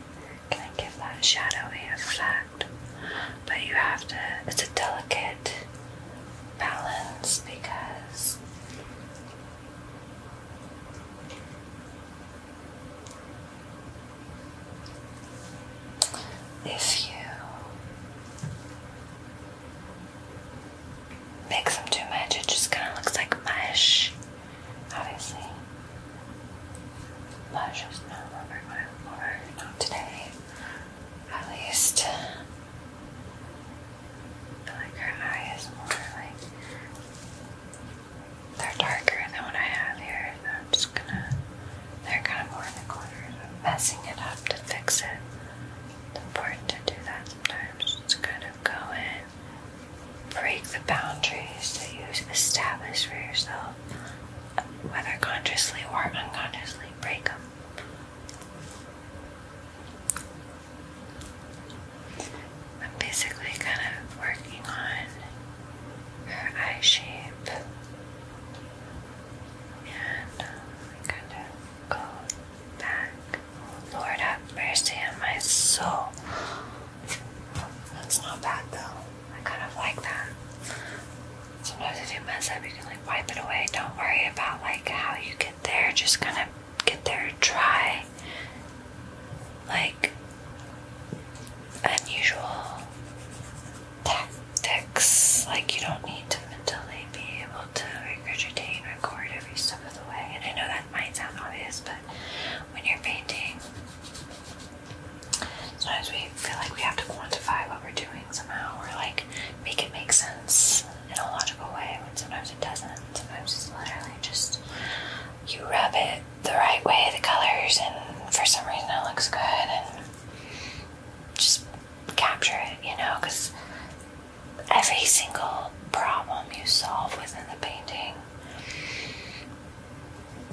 gonna give that shadowy effect. But you have to, it's a delicate balance because if you mix them too much, it just kind of looks like mush. Obviously, mush is not what I not today at least. But like her eye is more like they're darker than what I have here. I'm just gonna they're kind of more in the corners. messing it up to fix it. It's important to do that sometimes. Just kind of go in, break the boundaries that you establish for yourself, whether consciously or unconsciously break them. I'm basically kind of working on her eye shape and um, kind of go back. Lord have mercy on my soul. That's not bad though. I kind of like that. Sometimes if you mess up, you can like wipe it away. Don't worry about like how you get there, just gonna get there try Like unusual tactics. Like you don't need to mentally be able to regurgitate and record every step of the way. And I know that might sound obvious, but when you're painting, sometimes we feel like we have to quantify what we're doing somehow, or like make it make sense in a logical way. When sometimes it doesn't. Sometimes it's literally just you rub it the right way, the colors, and for some reason it looks good, and just capture it, you know, because every single problem you solve within the painting,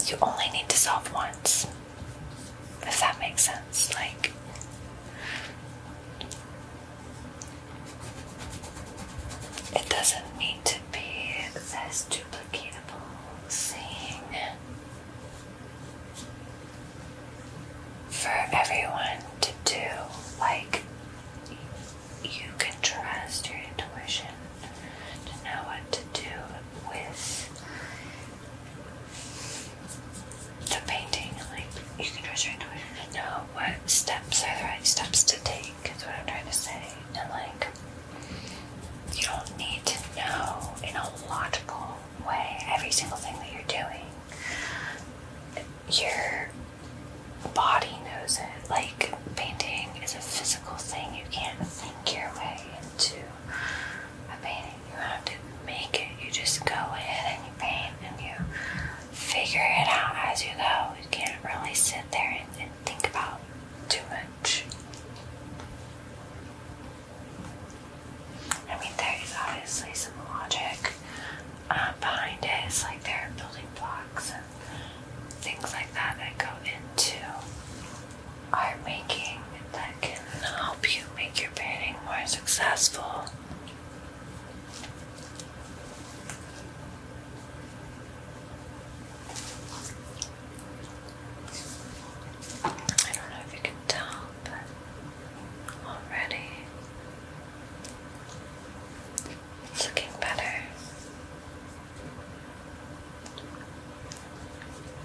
you only need to solve once. Does that make sense, like it doesn't need to be this duplicatable thing for everyone to do. Like you can trust your intuition to know what to do with the painting, like you can just try to know what steps are the right steps to take, is what I'm trying to say. And like you don't need to know in a logical way every single thing that you're doing. Your body knows it. Like painting is a physical thing. You can't think your way into a painting. You have to make it. You just go ahead and you paint and you figure it out as you go. You can't really sit there and, think about too much. I mean, there is obviously some logic uh, behind it. It's like there are building blocks and things like that that go into art making that can help you make your painting more successful. I don't know if you can tell, but already it's looking better.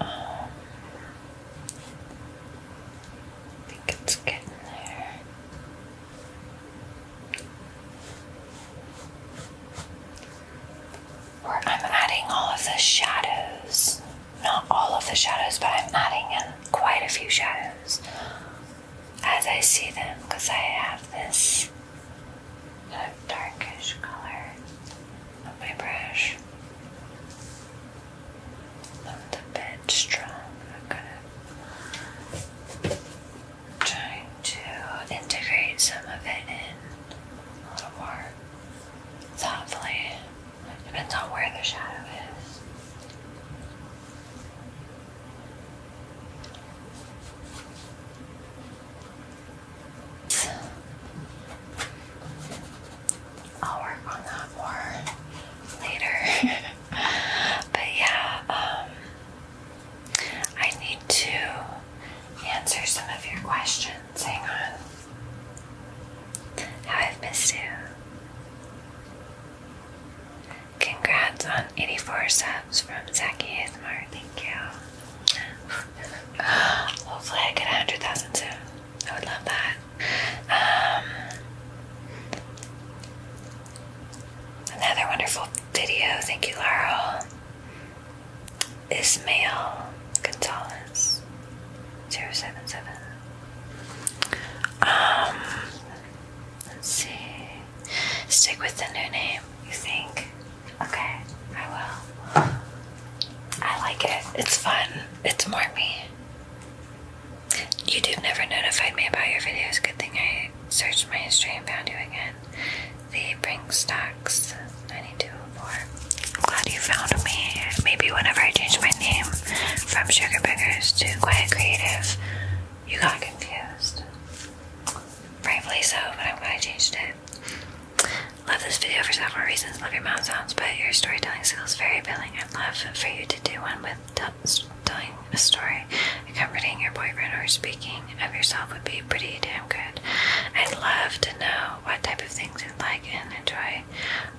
I think it's getting there. I'm adding all of the shadows. Not all of the shadows, but I'm adding in quite a few shadows as I see them because I have this that darkish color of my brush. i a bit strong. I'm gonna try to integrate some of it in a little more thoughtfully. Depends on where the shadow is. I'll work on that more later. but yeah, um, I need to answer some of your questions. Hang on. How I've missed you. Congrats on 84 subs from Zach ASMR. Thank you. Hopefully, I get 100,000 too. I would love that. Um, another wonderful video. Thank you, Laurel. Ismail Gonzalez 077. Um, let's see. Stick with the new name, you think? Okay, I will. I like it. It's fun. It's more me. do never notified me about your videos. Good thing I searched my history and found you again. They bring stocks 9204. I'm glad you found me. Maybe whenever I change my name from Sugar Biggers to Quiet Creative, you got confused. Rightfully so, but i changed it. Love this video for several reasons. Love your mouth sounds, but your storytelling skills very appealing. i love for you to do one with telling a story, comforting your boyfriend, or speaking of yourself would be pretty damn good. I'd love to know what type of things you like and enjoy.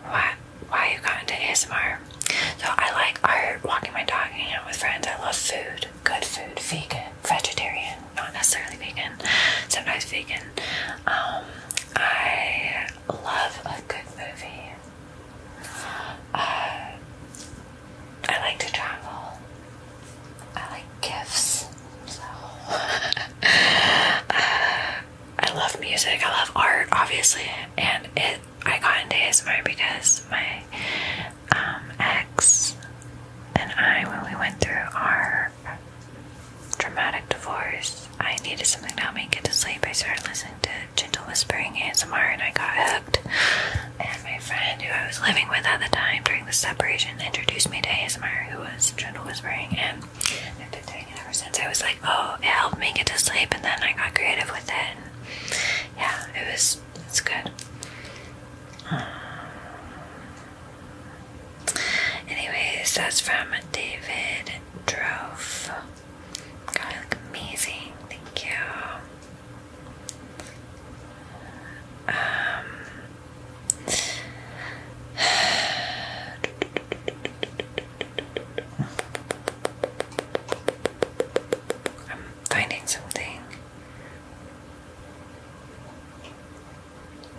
Why, why you got into ASMR? So I like art, walking my dog, hanging out with friends. I love food good food, vegan, vegetarian, not necessarily vegan, sometimes vegan. Um, I love a good movie. Uh, I like to travel. I like gifts. Uh, I love music. I love art, obviously, and it. I got into ASMR because my um, and I, when we went through our dramatic divorce, I needed something to help me get to sleep. I started listening to Gentle Whispering ASMR and I got hooked. And my friend who I was living with at the time during the separation introduced me to ASMR, who was Gentle Whispering, and I've been doing it ever since. I was like, oh, it helped me get to sleep, and then I got creative with it. yeah, it was, it's good. Anyways, that's from David Drove. you look amazing. Thank you. Um, I'm finding something.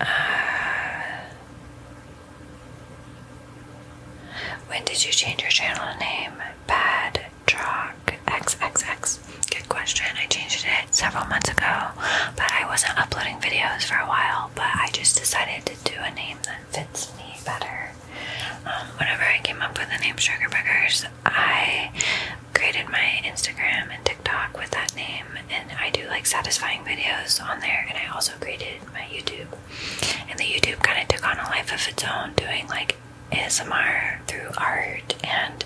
Ah. when did you change your channel name? Bad Truck XXX. Good question. I changed it several months ago, but I wasn't uploading videos for a while. But I just decided to do a name that fits me better. Um, whenever I came up with the name Sugar Boogers, I created my Instagram and TikTok with that name, and I do like satisfying videos on there. And I also created my YouTube, and the YouTube kind of took on a life of its own, doing like ASMR through art and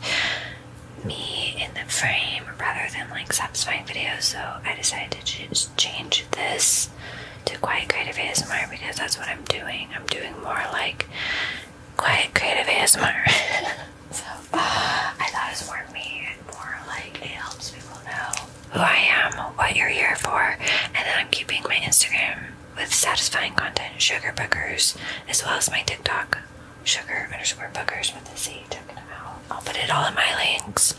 me in the frame rather than like satisfying videos. So I decided to just change this to Quiet Creative ASMR because that's what I'm doing. I'm doing more like Quiet Creative ASMR. So I thought it's more me and more like it helps people know who I am, what you're here for, and then I'm keeping my Instagram with satisfying content, sugar bookers, as well as my TikTok, sugar underscore bookers with a C taken out. I'll put it all in my links.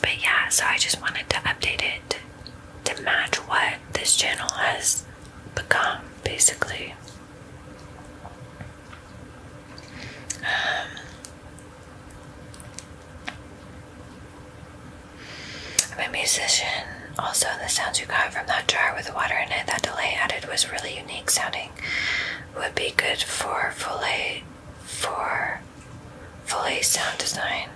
But yeah, so I just wanted to update it to match what this channel has become, basically. Um, I'm a musician. Also, the sounds you got from that jar with the water in it, that delay added was really unique sounding. Would be good for fully, for fully sound design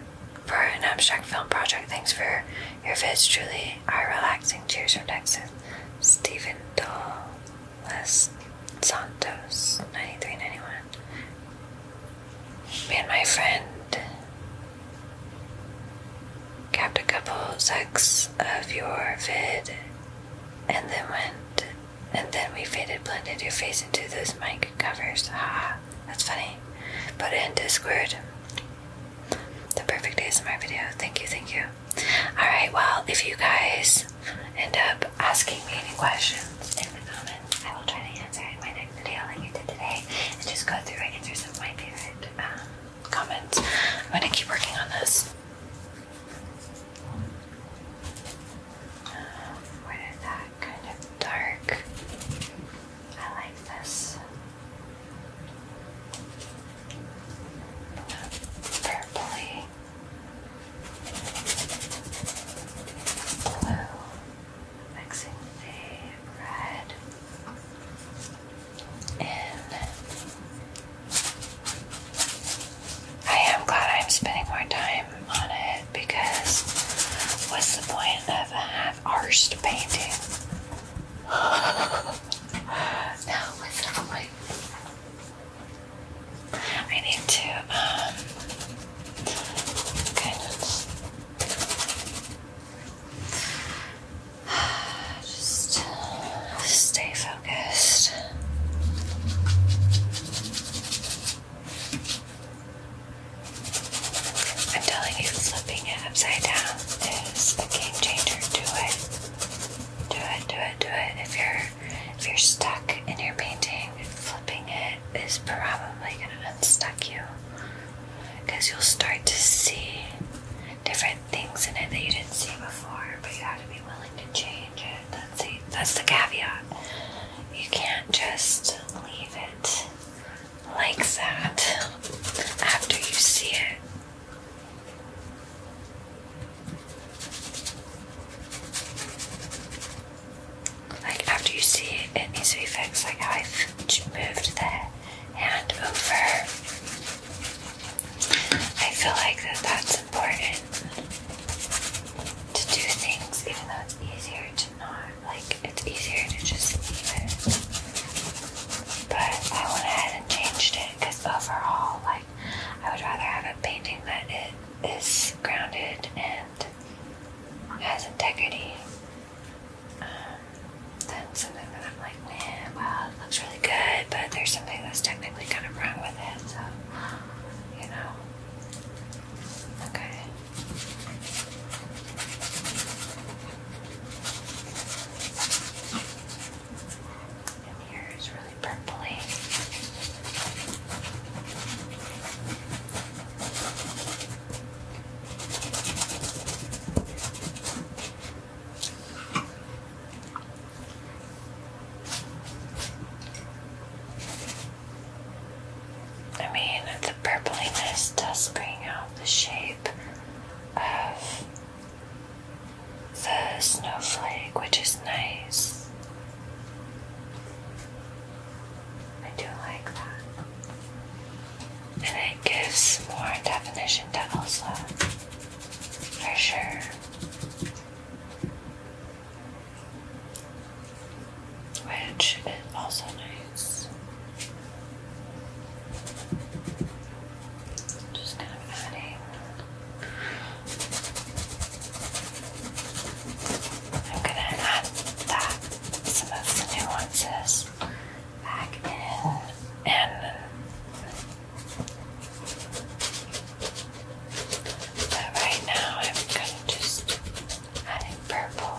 for an abstract film project. Thanks for your vids, truly are relaxing. Cheers from Texas. Stephen Doll, Les Santos, ninety three ninety one. Me and my friend capped a couple secs of your vid and then went and then we faded blended your face into those mic covers. Haha, that's funny. But it in Discord. The perfect days my video. Thank you, thank you. Alright, well, if you guys end up asking me any questions in the comments, I will try to answer in my next video like I did today and just go through and answer some of my favorite um, comments. I'm going to keep working on this. Um, what is that? Kind of dark. I like this purpley, blue, mixing the red in. I am glad I'm spending more time on it because what's the point of a half arsed painting? no, what's the I need to um, just stay focused. I'm telling you, flipping it upside down is a game changer. Do it. Do it, do it, do it. If you're if you're stuck in your painting, flipping it is probably gonna unstuck you. Because you'll start to see different things in it that you didn't see before, but you have to be willing to change it. That's the, that's the caveat. You can't just leave it like that after you see it. Like after you see it, it needs to be fixed. Like I've moved that hand over. I feel like that that's important to do things, even though it's easier to not. Like it's easier to just leave it. But I went ahead and changed it because overall, like. I would rather have a painting that it is grounded and has integrity um, than something that I'm like, man, it looks really good, but there's something that's technically kind of wrong with it, so, you know. Okay really I mean, the purpliness does bring out the shape of the snowflake, which is nice. I do like that. And it gives more definition to Elsa, for sure. Which is also nice. Just kind of adding. I'm gonna add that some of the nuances back in but right now I'm kind of just adding purple.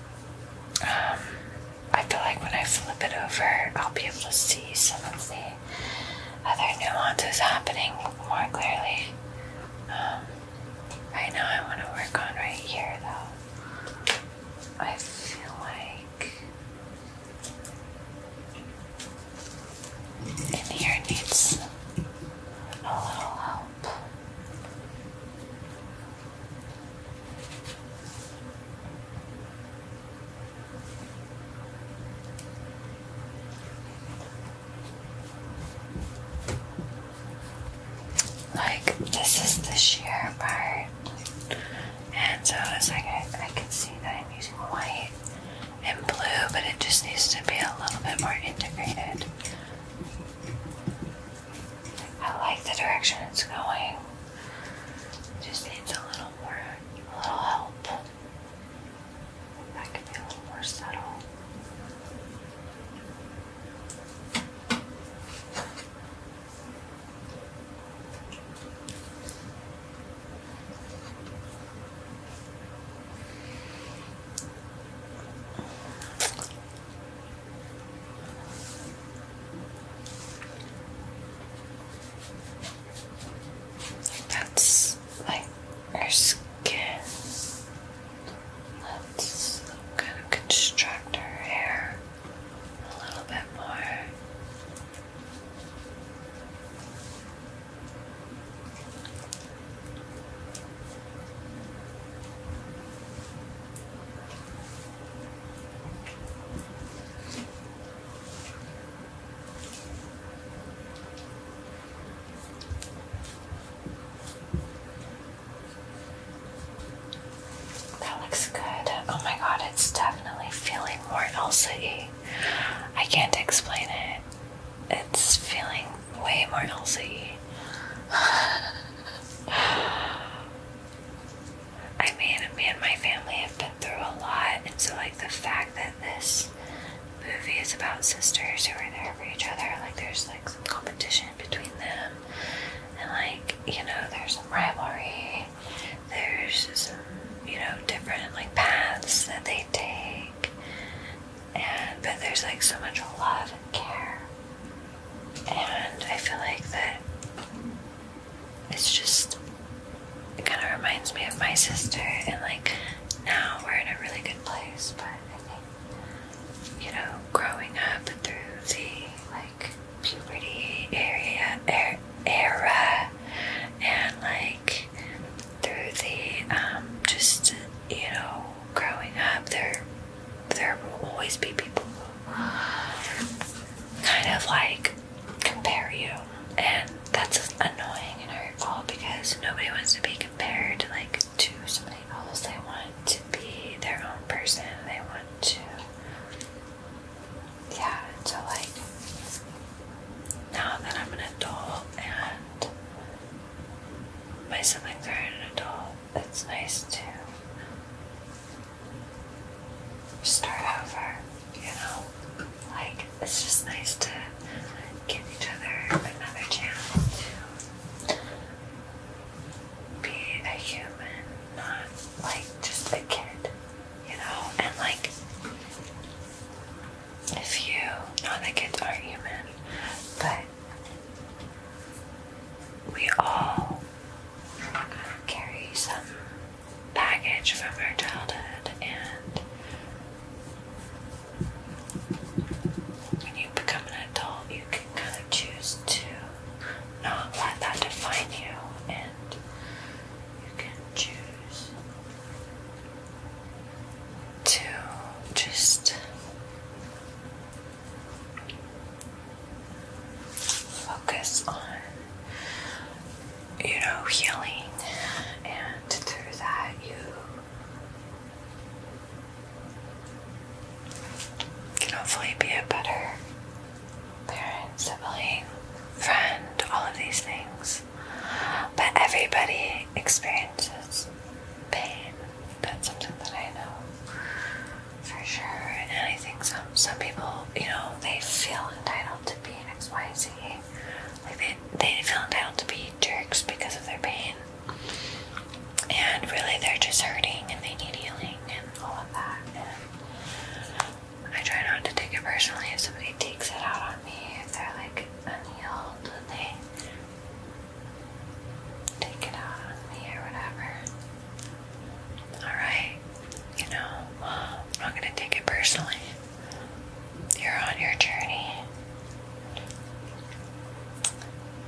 I feel like when I flip it over, I'll be able to see some of the other nuances happening more clearly. Um, right now, I want to work on right here, though. I feel like in here needs a little help. Like, this is the sheer part. And so it's like I, I can see that I'm using white and blue, but it just needs to be a little bit more integrated. I like the direction it's going. Just needs a little more, a little help. That could be a little more subtle. That's like her skin. Let's kind of construct her hair a little bit more. That looks good. Oh my god, it's definitely feeling more elsa I I can't explain it. It's feeling way more elsa I mean, me and my family have been through a lot, and so, like, the fact that this movie is about sisters who are there for each other, like, there's, like, some competition between them, and, like, you know, there's some rivalry, there's some, you know, different, like, paths that they take, and, but there's, like, so much love and care and I feel like that it's just it kind of reminds me of my sister and like now we're in a really good place but I think you know growing up through the like puberty area er, era and like through the um just you know growing up there there will always be people who kind of like compare you, and that's annoying and hurtful because nobody wants to be compared like to somebody else. They want to be their own person. They want to, yeah. So like now that I'm an adult and my siblings are an adult, that's nice too. Start over, you know? Like, it's just nice to give each other another chance to be a human, not like just a kid, you know? And like, if you know that kids aren't human, but we all carry some baggage from our childhood, and when you become an adult, you can kind of choose to not let that define you, and you can choose to just focus on, you know, healing, and through that, you can hopefully be a better parent, sibling, friend, all of these things. But everybody experiences pain. That's something that I know for sure. And I think some some people, you know, they feel entitled to be an X, Y, Z. Like they they feel entitled to be jerks because of their pain. And really, they're just hurting and they need healing and all of that. I try not to take it personally if somebody takes it out on me, if they're like unhealed and they take it out on me or whatever. Alright, you know, I'm not gonna take it personally. You're on your journey.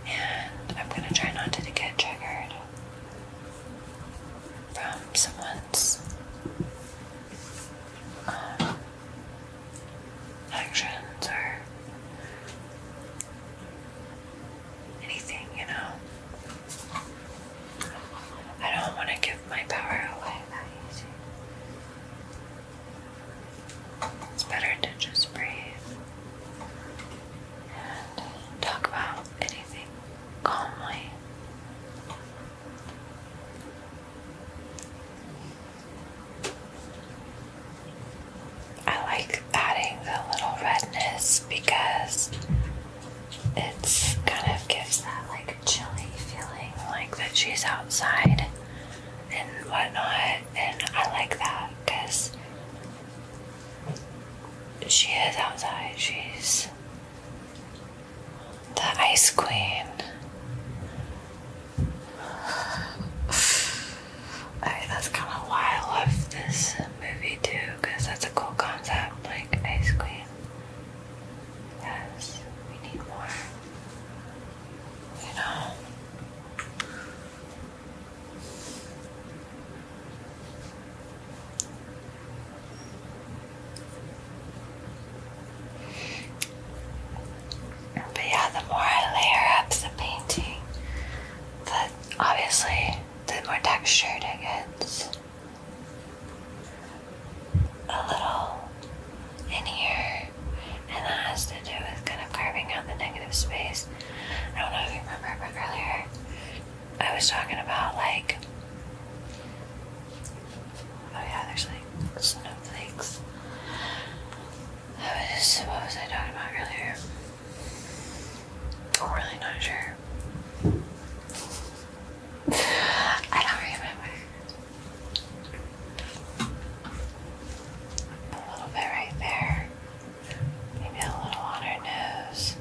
And I'm gonna try not to get triggered from someone's um, actions or anything, you know. I don't want to give my power away that easy. It's better to just breathe and talk about anything calmly. I like adding the little redness because it's kind of gives that like chilly feeling, like that she's outside and whatnot. And I like that because she is outside. She's the ice queen. that's kind of why I love this movie too, because that's a cool concept, like ice cream. Yes, we need more. You know. But yeah, the more I layer up the painting, the obviously the more textured it gets a little in here, and that has to do with kind of carving out the negative space. I don't know if you remember, earlier I was talking about like, oh yeah, there's like snowflakes. That was what was I talking about earlier? I'm really not sure. I don't remember. A little bit right there. Maybe a little on her nose.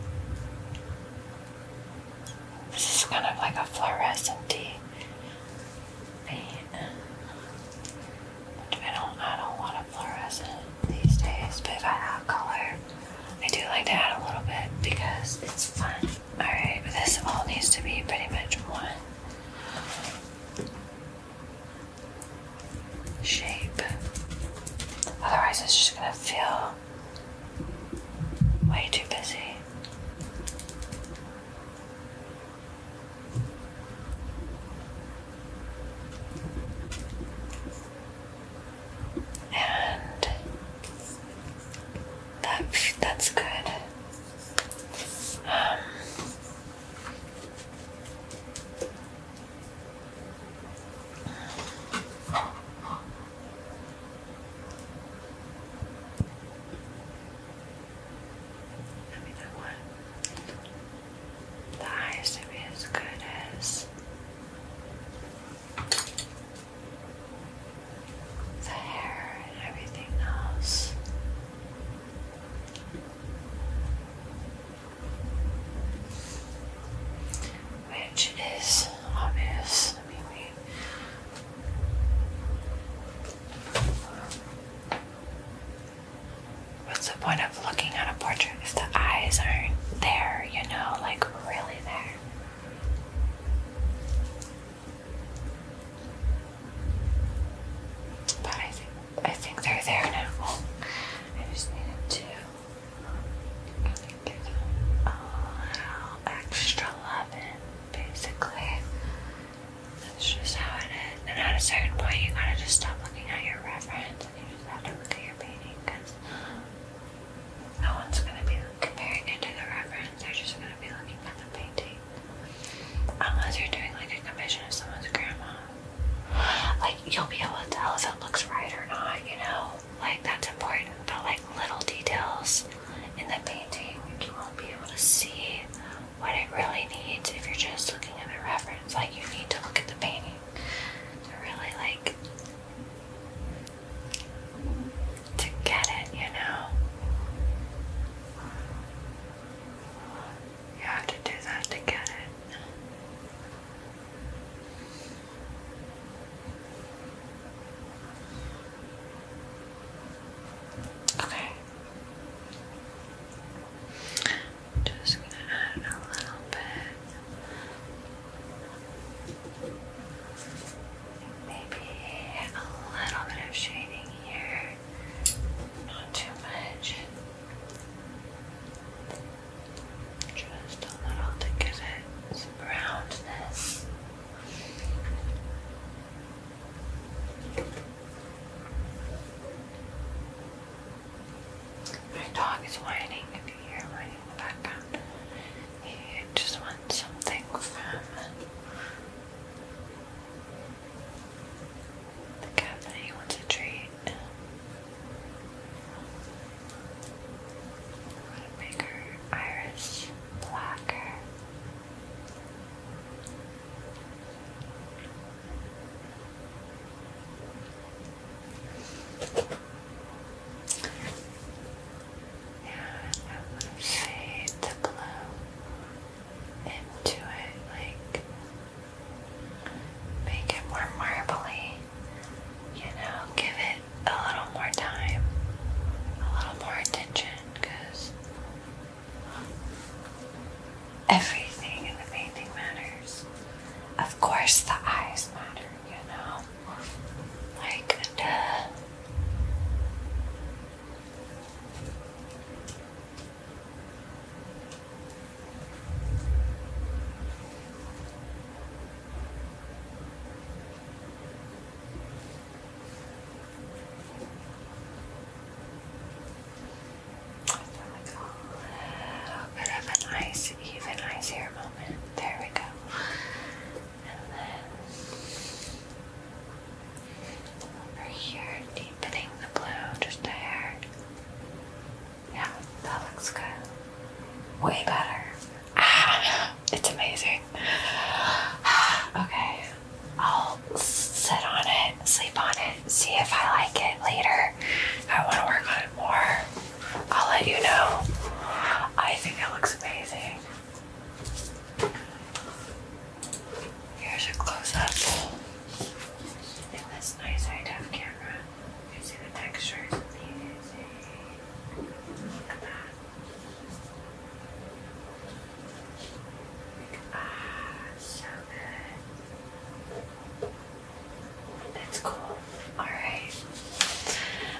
This is kind of like a fluorescent paint. I don't, I don't want a fluorescent these days, but if I have color, I do like to add a little bit because it's fun. Alright, but this all needs to be pretty much one shape. Otherwise, it's just gonna feel way too busy and that that's good. Um, I mean, I the eyes to good as the hair and everything else. Which is obvious. I mean, What's the point of looking at a portrait if the eyes aren't there, you know, like really there? But I think I think they're there now. I just needed to uh, give them a oh, little extra loving, basically. That's just how it is. And at a certain point, you gotta just stop looking at your reference and you just have to look at your painting because no one's going to be comparing it to the reference, they're just going to be looking at the painting. Unless you're doing like a commission of someone's grandma. Like, you'll be able to tell if it looks right or not, you know? Like, that's important, but like little details in the painting, you won't be able to see what it really needs if you're just looking at the reference. Like, you need to look at the painting to really like to get it, you know. You have to do that to get it. Okay. Just gonna add a little bit Maybe a little bit of shading here, not too much. Just a little to give it some roundness. My dog is whining if you hear my in He just wants something from the cabinet. He wants a treat. What a iris blacker. And I want to fade the blue into it, like make it more marbly, you know, give it a little more time, a little more attention, because everything in the painting matters. Of course, the eyes matter you know, like duh. Oh A bit of an ice, even icier moment. There we go and then over here, deepening the blue just a Yeah, that looks good. Way better. Ah, it's amazing. Okay, I'll sit on it, sleep on it, see if I like it later. I want to work on it more, I'll let you know. I think it looks amazing. Here's a close-up in this nice high-def camera. You see the textures Look at that. Ah, so good. That's cool. Alright.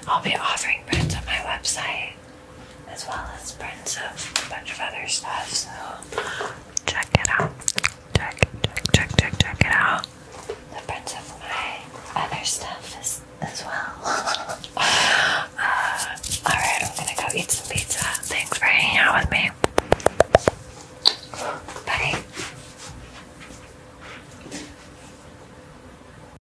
I'll be offering prints on my website as well as prints of a bunch of other stuff. So check it out. Check, check, check, check, check it out. The prints of my other stuff is, as well. Uh, alright, I'm gonna go eat some pizza. Thanks for hanging out with me. Bye.